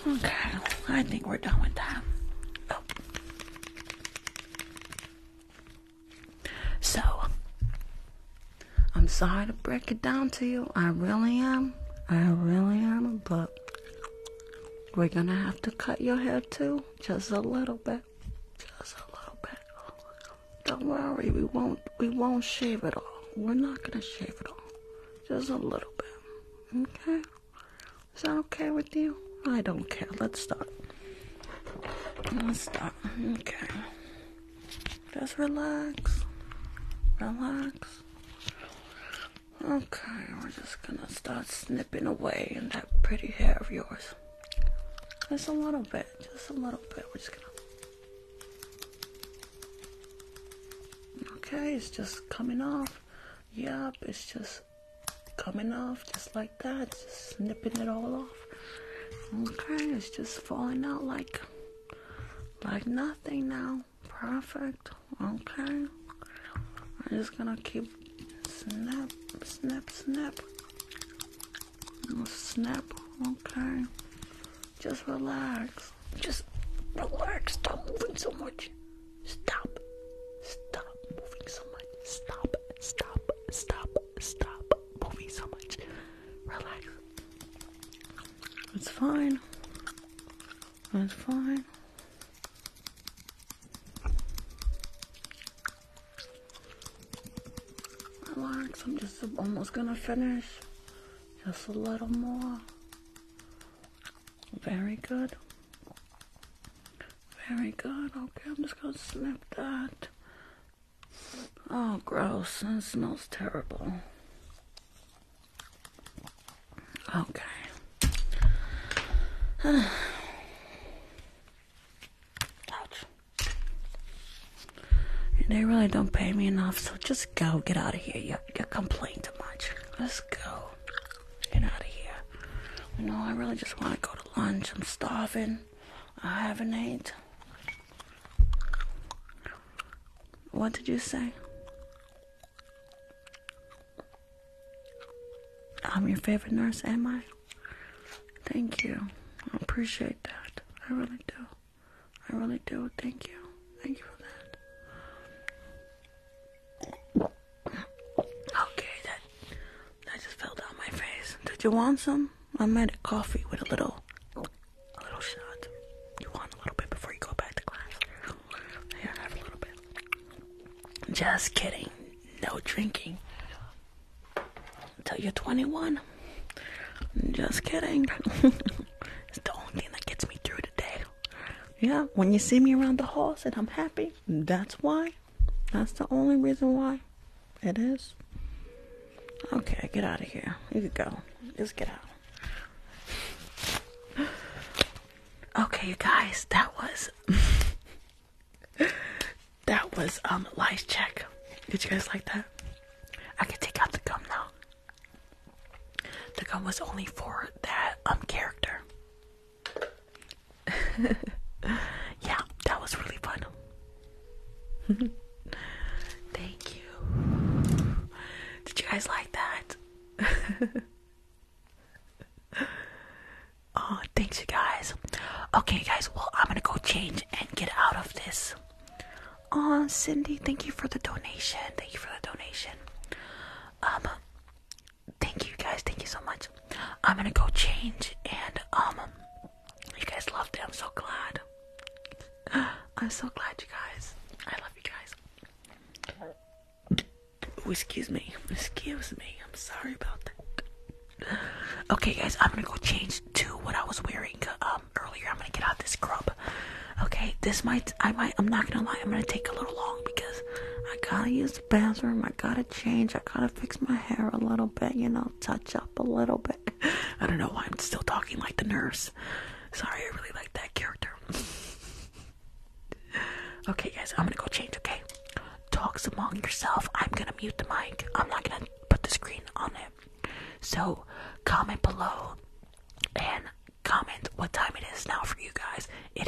Okay, I think we're done with that. Oh, so, I'm sorry to break it down to you. I really am. I really am. But we're gonna have to cut your hair too, just a little bit, just a little bit. Don't worry, we won't. We won't shave it all. We're not gonna shave it all, just a little bit. Okay. Is that okay with you? I don't care. Let's start. Let's start. Okay. Just relax. Relax. Okay, we're just gonna start snipping away in that pretty hair of yours. Just a little bit, just a little bit. We're just gonna. Okay, it's just coming off. Yep, it's just coming off just like that, just snipping it all off. Okay, it's just falling out like like nothing now. Perfect. Okay. I'm just gonna keep snap, snap, snap. Snap. Okay. Just relax. Just relax. do Stop moving so much. Stop. Stop moving so much. Stop. Stop. Stop. Stop moving so much. Relax. It's fine. It's fine. Relax. I'm just almost gonna finish. Just a little more. Very good. Very good. Okay, I'm just gonna snip that. Oh, gross. That smells terrible. Okay. Ouch. They really don't pay me enough, so just go. Get out of here. You, you complain too much. Let's go. Get out of here. You know, I really just want to go to lunch. I'm starving. I haven't ate. What did you say? I'm your favorite nurse, am I? Thank you. I appreciate that. I really do. I really do. Thank you. Thank you for that. Okay, that that just fell down my face. Did you want some? I made a coffee with a little a little shot. You want a little bit before you go back to class? Here, have a little bit. Just kidding. No drinking. Until you're 21. Just kidding. it's the only thing that gets me through today. Yeah, when you see me around the halls and I'm happy, that's why. That's the only reason why it is. Okay, get out of here. You can go. Just get out. Okay, you guys, that was that was um life check. Did you guys like that? I can take out the gum now. The gum was only for that um character. yeah, that was really fun. Thank you. Did you guys like that? oh, thanks, you guys. Okay, guys, well, I'm gonna go change and get out of this. Oh, Cindy, thank you for the donation. Thank you for the donation. Um, thank you guys, thank you so much. I'm gonna go change and um you guys loved it. I'm so glad. I'm so glad you guys. I love you guys. Ooh, excuse me. Excuse me. I'm sorry about that. Okay guys, I'm gonna go change to what I was wearing um earlier. I'm gonna get out this scrub. Okay, this might I might I'm not gonna lie, I'm gonna take a little long because I gotta use bathroom. I gotta change. I gotta fix my hair a little bit, you know, touch up a little bit. I don't know why I'm still talking like the nurse. Sorry, I really like that character. okay, guys, I'm gonna go change, okay? Talks among yourself. I'm gonna mute the mic. I'm not gonna put the screen on it. So, comment below and comment what time it is now for you guys. It